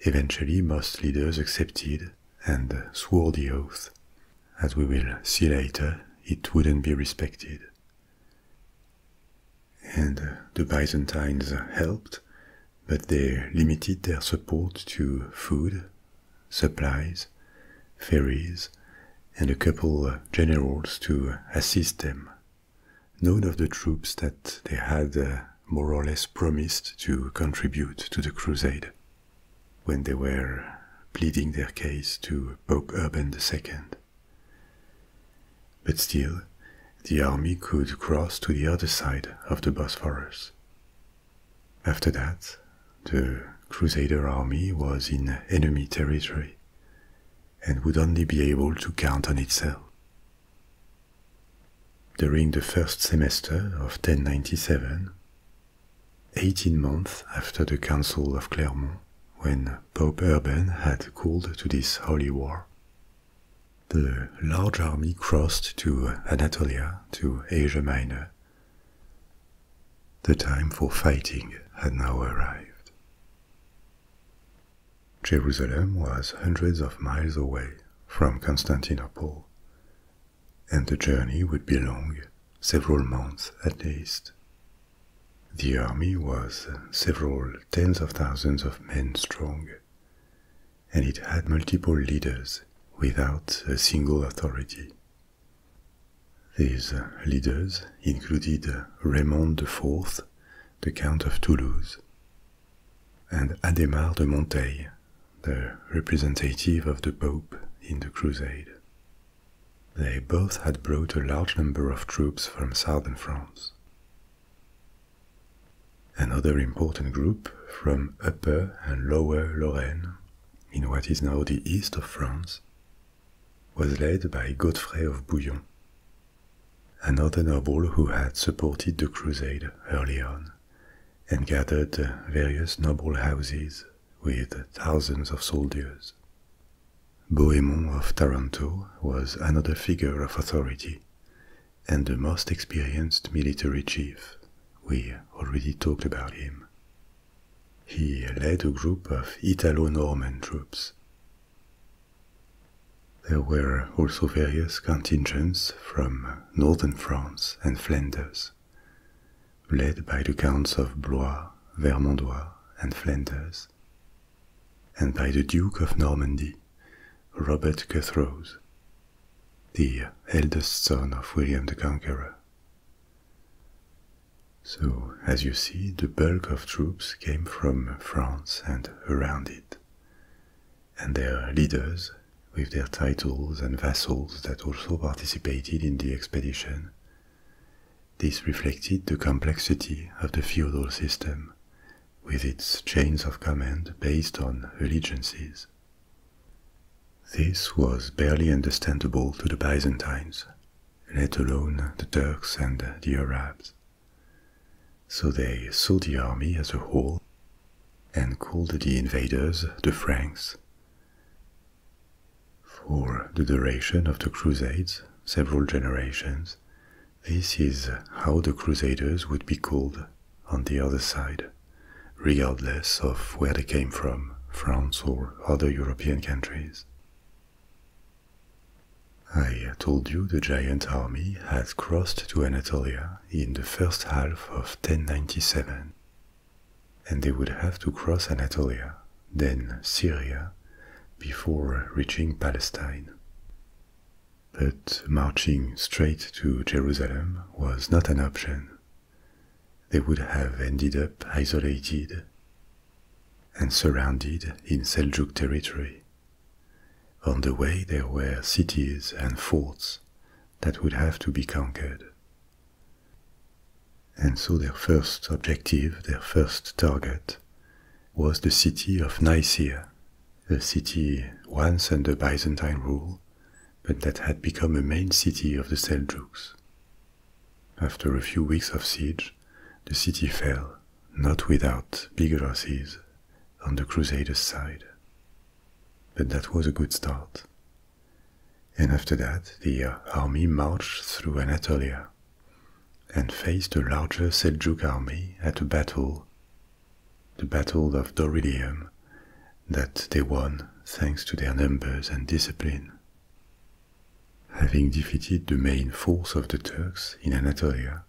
Eventually, most leaders accepted and swore the oath. As we will see later, it wouldn't be respected, and uh, the Byzantines helped, but they limited their support to food, supplies, ferries, and a couple of uh, generals to assist them. None of the troops that they had uh, more or less promised to contribute to the crusade when they were pleading their case to Pope Urban II. But still, the army could cross to the other side of the Bosphorus. After that, the Crusader army was in enemy territory and would only be able to count on itself. During the first semester of 1097, 18 months after the Council of Clermont, when Pope Urban had called to this holy war. The large army crossed to Anatolia, to Asia Minor. The time for fighting had now arrived. Jerusalem was hundreds of miles away from Constantinople, and the journey would be long, several months at least, the army was several tens of thousands of men strong, and it had multiple leaders without a single authority. These leaders included Raymond IV, the Count of Toulouse, and Adhemar de Monteil, the representative of the Pope in the Crusade. They both had brought a large number of troops from southern France. Another important group from upper and lower Lorraine, in what is now the east of France, was led by Godfrey of Bouillon, another noble who had supported the crusade early on and gathered various noble houses with thousands of soldiers Bohemond of Taranto was another figure of authority and the most experienced military chief. We already talked about him. He led a group of Italo-Norman troops. There were also various contingents from northern France and Flanders, led by the counts of Blois, Vermandois, and Flanders, and by the Duke of Normandy, Robert Cuthrose, the eldest son of William the Conqueror. So, as you see, the bulk of troops came from France and around it, and their leaders, with their titles and vassals that also participated in the expedition, this reflected the complexity of the feudal system, with its chains of command based on allegiances. This was barely understandable to the Byzantines, let alone the Turks and the Arabs. So they saw the army as a whole and called the invaders the Franks. For the duration of the Crusades, several generations, this is how the Crusaders would be called on the other side, regardless of where they came from, France or other European countries. I told you the giant army had crossed to Anatolia in the first half of 1097, and they would have to cross Anatolia then Syria, before reaching Palestine. But marching straight to Jerusalem was not an option. They would have ended up isolated and surrounded in Seljuk territory. On the way, there were cities and forts that would have to be conquered. And so their first objective, their first target, was the city of Nicaea, a city once under Byzantine rule, but that had become a main city of the Seljuks. After a few weeks of siege, the city fell, not without big losses, on the Crusaders' side. But that was a good start. And after that, the army marched through Anatolia and faced a larger Seljuk army at a battle, the Battle of Dorylium, that they won thanks to their numbers and discipline. Having defeated the main force of the Turks in Anatolia,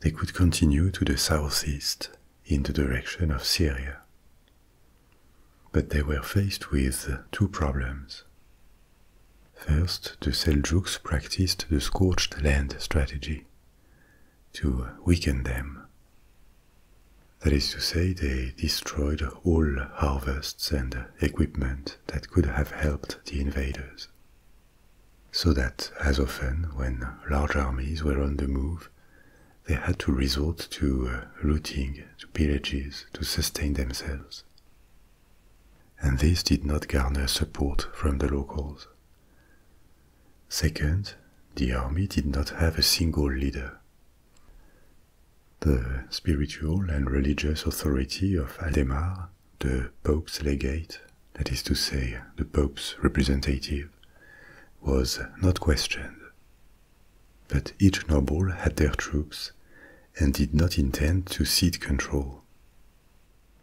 they could continue to the southeast in the direction of Syria. But they were faced with two problems. First, the Seljuks practiced the scorched land strategy to weaken them. That is to say, they destroyed all harvests and equipment that could have helped the invaders. So that, as often when large armies were on the move, they had to resort to uh, looting, to pillages to sustain themselves and this did not garner support from the locals. Second, the army did not have a single leader. The spiritual and religious authority of Aldemar, the Pope's legate, that is to say, the Pope's representative, was not questioned. But each noble had their troops, and did not intend to cede control.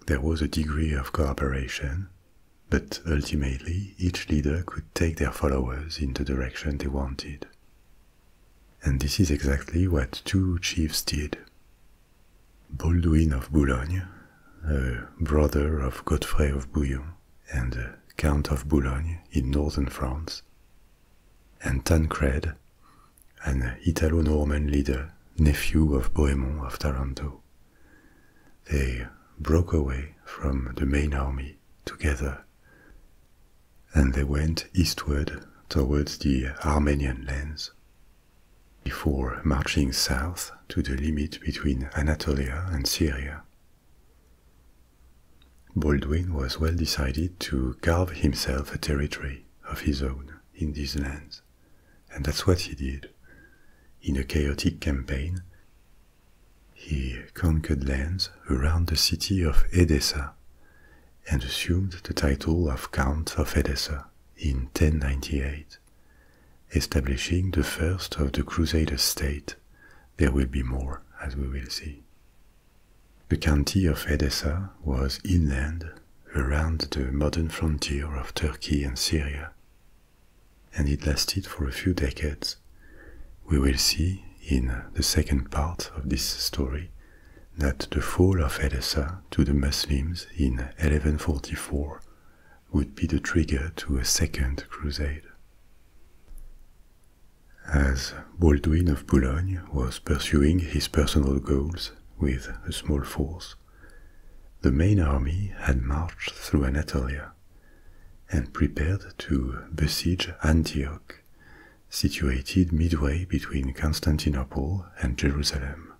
There was a degree of cooperation, but ultimately each leader could take their followers in the direction they wanted. And this is exactly what two chiefs did. Baldwin of Boulogne, a brother of Godfrey of Bouillon and Count of Boulogne in northern France, and Tancred, an Italo-Norman leader, nephew of Bohemond of Taranto. They broke away from the main army together, and they went eastward towards the Armenian lands. Before marching south to the limit between Anatolia and Syria. Baldwin was well decided to carve himself a territory of his own in these lands. And that's what he did. In a chaotic campaign, he conquered lands around the city of Edessa and assumed the title of Count of Edessa in 1098, establishing the first of the Crusader state. There will be more, as we will see. The county of Edessa was inland around the modern frontier of Turkey and Syria, and it lasted for a few decades. We will see in the second part of this story that the fall of Edessa to the Muslims in 1144 would be the trigger to a second crusade. As Baldwin of Boulogne was pursuing his personal goals with a small force, the main army had marched through Anatolia and prepared to besiege Antioch, situated midway between Constantinople and Jerusalem.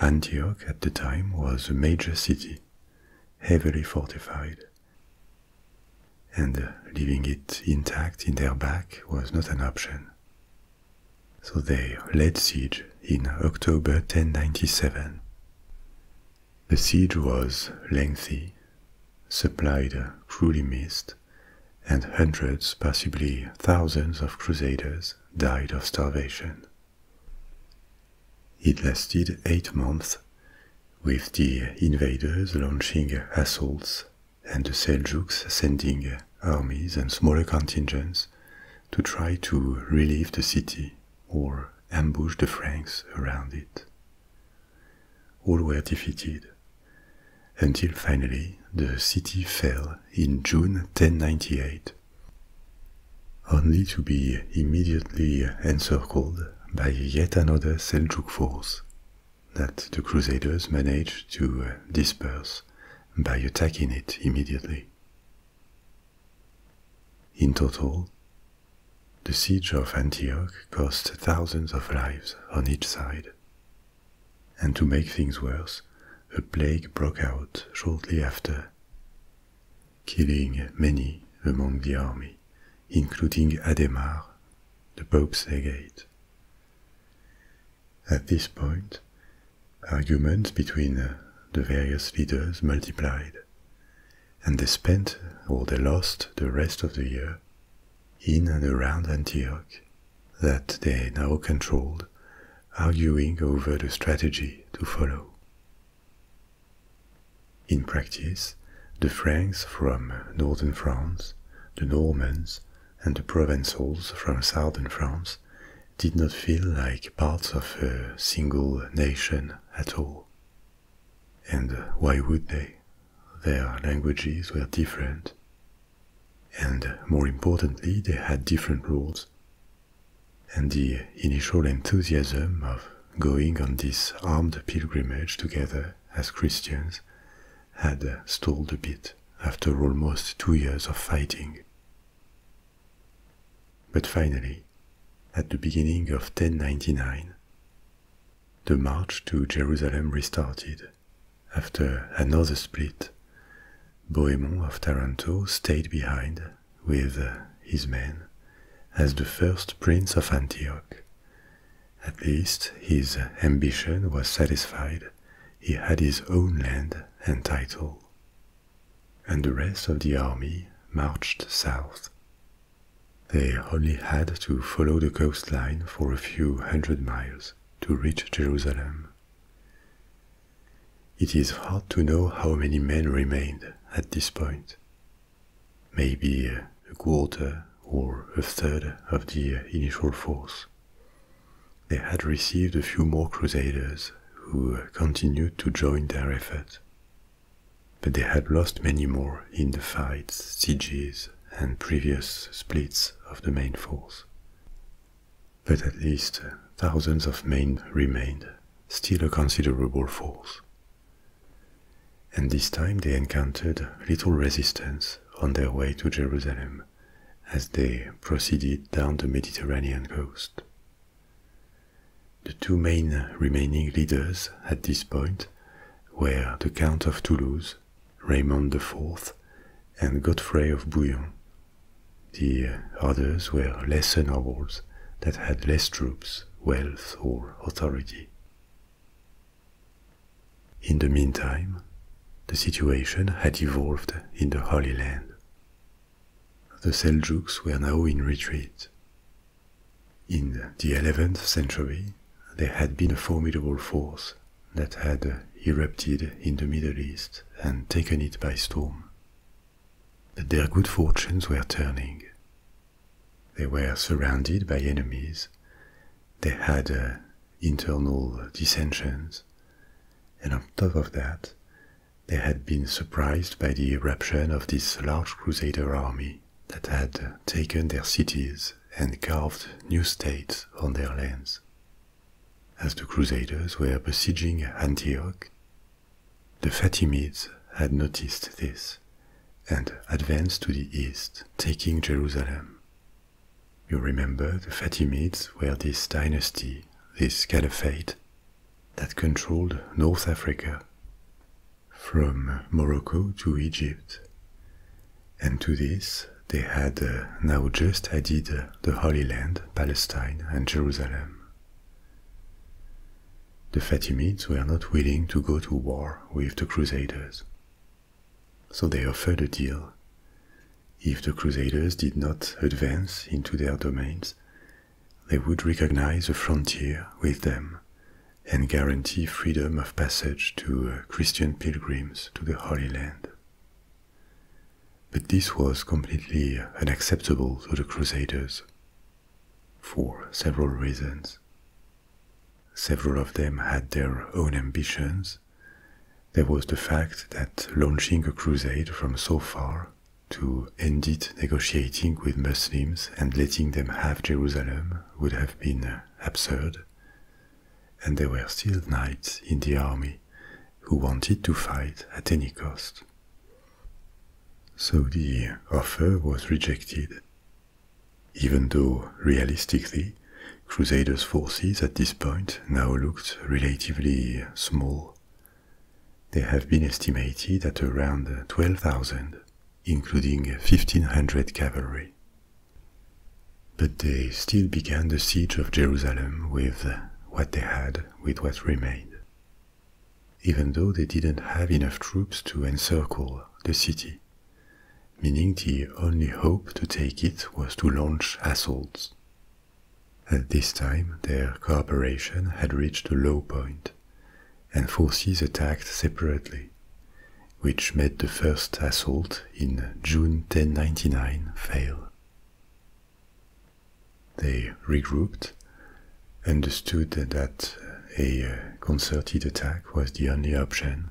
Antioch at the time was a major city, heavily fortified, and leaving it intact in their back was not an option. So they laid siege in October 1097. The siege was lengthy, supplied cruelly missed, and hundreds, possibly thousands of crusaders died of starvation. It lasted eight months, with the invaders launching assaults and the Seljuks sending armies and smaller contingents to try to relieve the city or ambush the Franks around it. All were defeated until finally the city fell in June 1098, only to be immediately encircled by yet another Seljuk force that the Crusaders managed to disperse by attacking it immediately. In total, the siege of Antioch cost thousands of lives on each side. And to make things worse, a plague broke out shortly after, killing many among the army, including Adhemar, the Pope's legate, at this point, arguments between uh, the various leaders multiplied, and they spent or they lost the rest of the year in and around Antioch that they now controlled, arguing over the strategy to follow. In practice, the Franks from northern France, the Normans, and the Provençals from southern France did not feel like parts of a single nation at all. And why would they? Their languages were different. And more importantly, they had different rules. And the initial enthusiasm of going on this armed pilgrimage together as Christians had stalled a bit after almost two years of fighting. But finally, at the beginning of 1099, the march to Jerusalem restarted. After another split, Bohemond of Taranto stayed behind with his men as the first prince of Antioch. At least his ambition was satisfied he had his own land and title. And the rest of the army marched south. They only had to follow the coastline for a few hundred miles to reach Jerusalem. It is hard to know how many men remained at this point. Maybe a quarter or a third of the initial force, they had received a few more crusaders who continued to join their effort, but they had lost many more in the fights, sieges, and previous splits of the main force. But at least thousands of men remained, still a considerable force. And this time they encountered little resistance on their way to Jerusalem as they proceeded down the Mediterranean coast. The two main remaining leaders at this point were the Count of Toulouse, Raymond IV, and Godfrey of Bouillon. The others were lesser nobles that had less troops, wealth, or authority. In the meantime, the situation had evolved in the Holy Land. The Seljuks were now in retreat. In the 11th century, there had been a formidable force that had erupted in the Middle East and taken it by storm. But their good fortunes were turning. They were surrounded by enemies. They had uh, internal dissensions and on top of that, they had been surprised by the eruption of this large crusader army that had taken their cities and carved new states on their lands. As the crusaders were besieging Antioch, the Fatimids had noticed this and advanced to the east, taking Jerusalem. You remember the Fatimids were this dynasty, this caliphate, that controlled North Africa, from Morocco to Egypt. And to this, they had uh, now just added uh, the Holy Land, Palestine, and Jerusalem. The Fatimids were not willing to go to war with the Crusaders, so they offered a deal if the Crusaders did not advance into their domains, they would recognize the frontier with them and guarantee freedom of passage to uh, Christian pilgrims to the Holy Land. But this was completely unacceptable to the Crusaders for several reasons. Several of them had their own ambitions, there was the fact that launching a crusade from so far to end it negotiating with Muslims and letting them have Jerusalem would have been absurd. And there were still knights in the army who wanted to fight at any cost. So the offer was rejected, even though realistically, Crusaders' forces at this point now looked relatively small they have been estimated at around 12,000, including 1,500 cavalry. But they still began the siege of Jerusalem with what they had, with what remained, even though they didn't have enough troops to encircle the city, meaning the only hope to take it was to launch assaults. At this time, their cooperation had reached a low point, and forces attacked separately, which made the first assault in June 1099 fail. They regrouped, understood that a uh, concerted attack was the only option,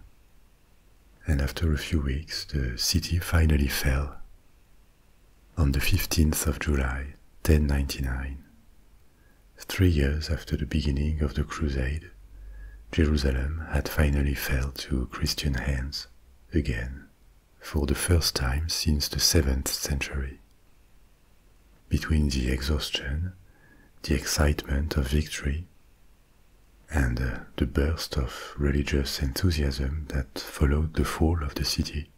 and after a few weeks the city finally fell on the 15th of July 1099. Three years after the beginning of the Crusade, Jerusalem had finally fell to Christian hands again, for the first time since the 7th century. Between the exhaustion, the excitement of victory, and uh, the burst of religious enthusiasm that followed the fall of the city,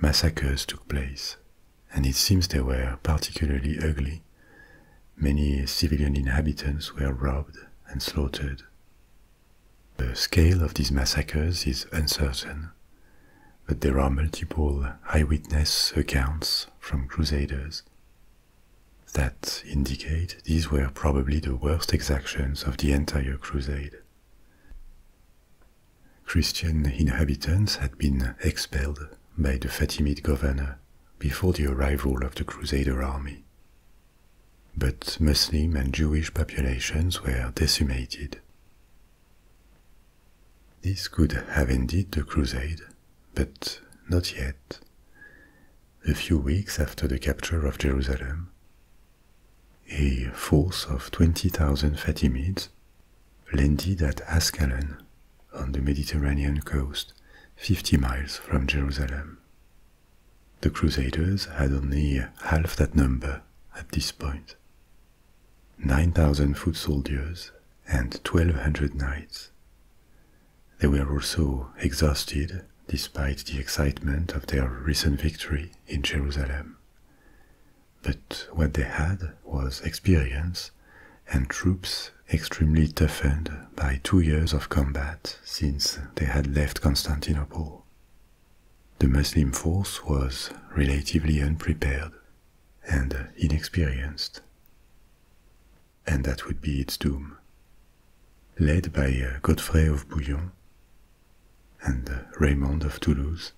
massacres took place, and it seems they were particularly ugly. Many civilian inhabitants were robbed and slaughtered. The scale of these massacres is uncertain, but there are multiple eyewitness accounts from crusaders that indicate these were probably the worst exactions of the entire crusade. Christian inhabitants had been expelled by the Fatimid governor before the arrival of the Crusader army. But Muslim and Jewish populations were decimated. This could have ended the crusade, but not yet. A few weeks after the capture of Jerusalem, a force of 20,000 Fatimids landed at Ascalon on the Mediterranean coast, 50 miles from Jerusalem. The Crusaders had only half that number at this point. 9,000 foot soldiers and 1,200 knights. They were also exhausted despite the excitement of their recent victory in Jerusalem. But what they had was experience and troops extremely toughened by two years of combat since they had left Constantinople. The Muslim force was relatively unprepared and inexperienced. And that would be its doom. Led by uh, Godfrey of Bouillon, and uh, Raymond of Toulouse.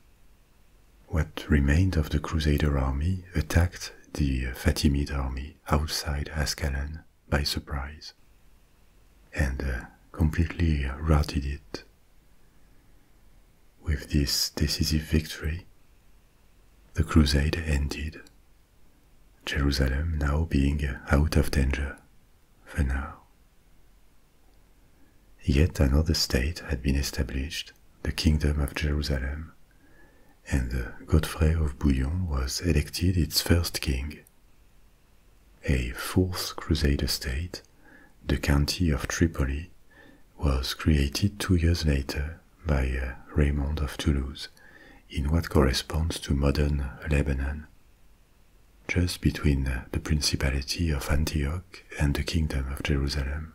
What remained of the Crusader army attacked the uh, Fatimid army outside Ascalon by surprise and uh, completely routed it. With this decisive victory, the crusade ended, Jerusalem now being out of danger for now. Yet another state had been established, the Kingdom of Jerusalem, and Godfrey of Bouillon was elected its first king. A fourth Crusade state, the County of Tripoli, was created two years later by uh, Raymond of Toulouse in what corresponds to modern Lebanon just between uh, the Principality of Antioch and the Kingdom of Jerusalem.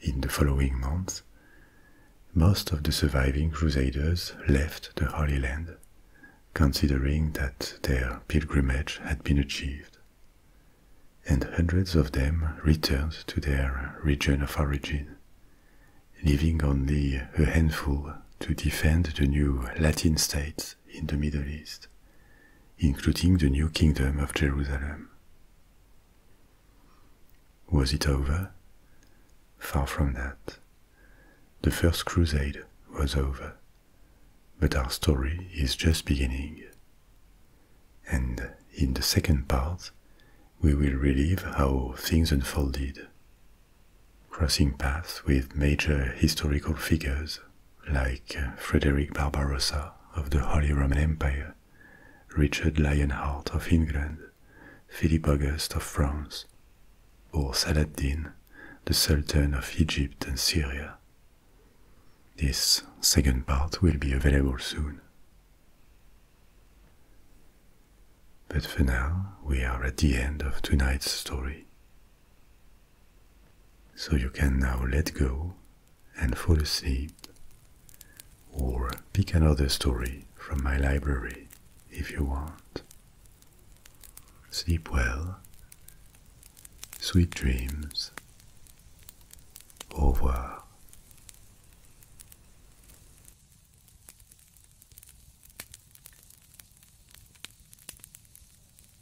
In the following month, most of the surviving Crusaders left the Holy Land, considering that their pilgrimage had been achieved, and hundreds of them returned to their region of origin, leaving only a handful to defend the new Latin states in the Middle East including the new kingdom of Jerusalem. Was it over? Far from that. The first crusade was over, but our story is just beginning. And in the second part, we will relive how things unfolded, crossing paths with major historical figures like uh, Frederick Barbarossa of the Holy Roman Empire, Richard Lionheart of England, Philip August of France, or Saladin, the Sultan of Egypt and Syria. This second part will be available soon. But for now, we are at the end of tonight's story, so you can now let go and fall asleep, or pick another story from my library if you want. Sleep well, sweet dreams, au revoir.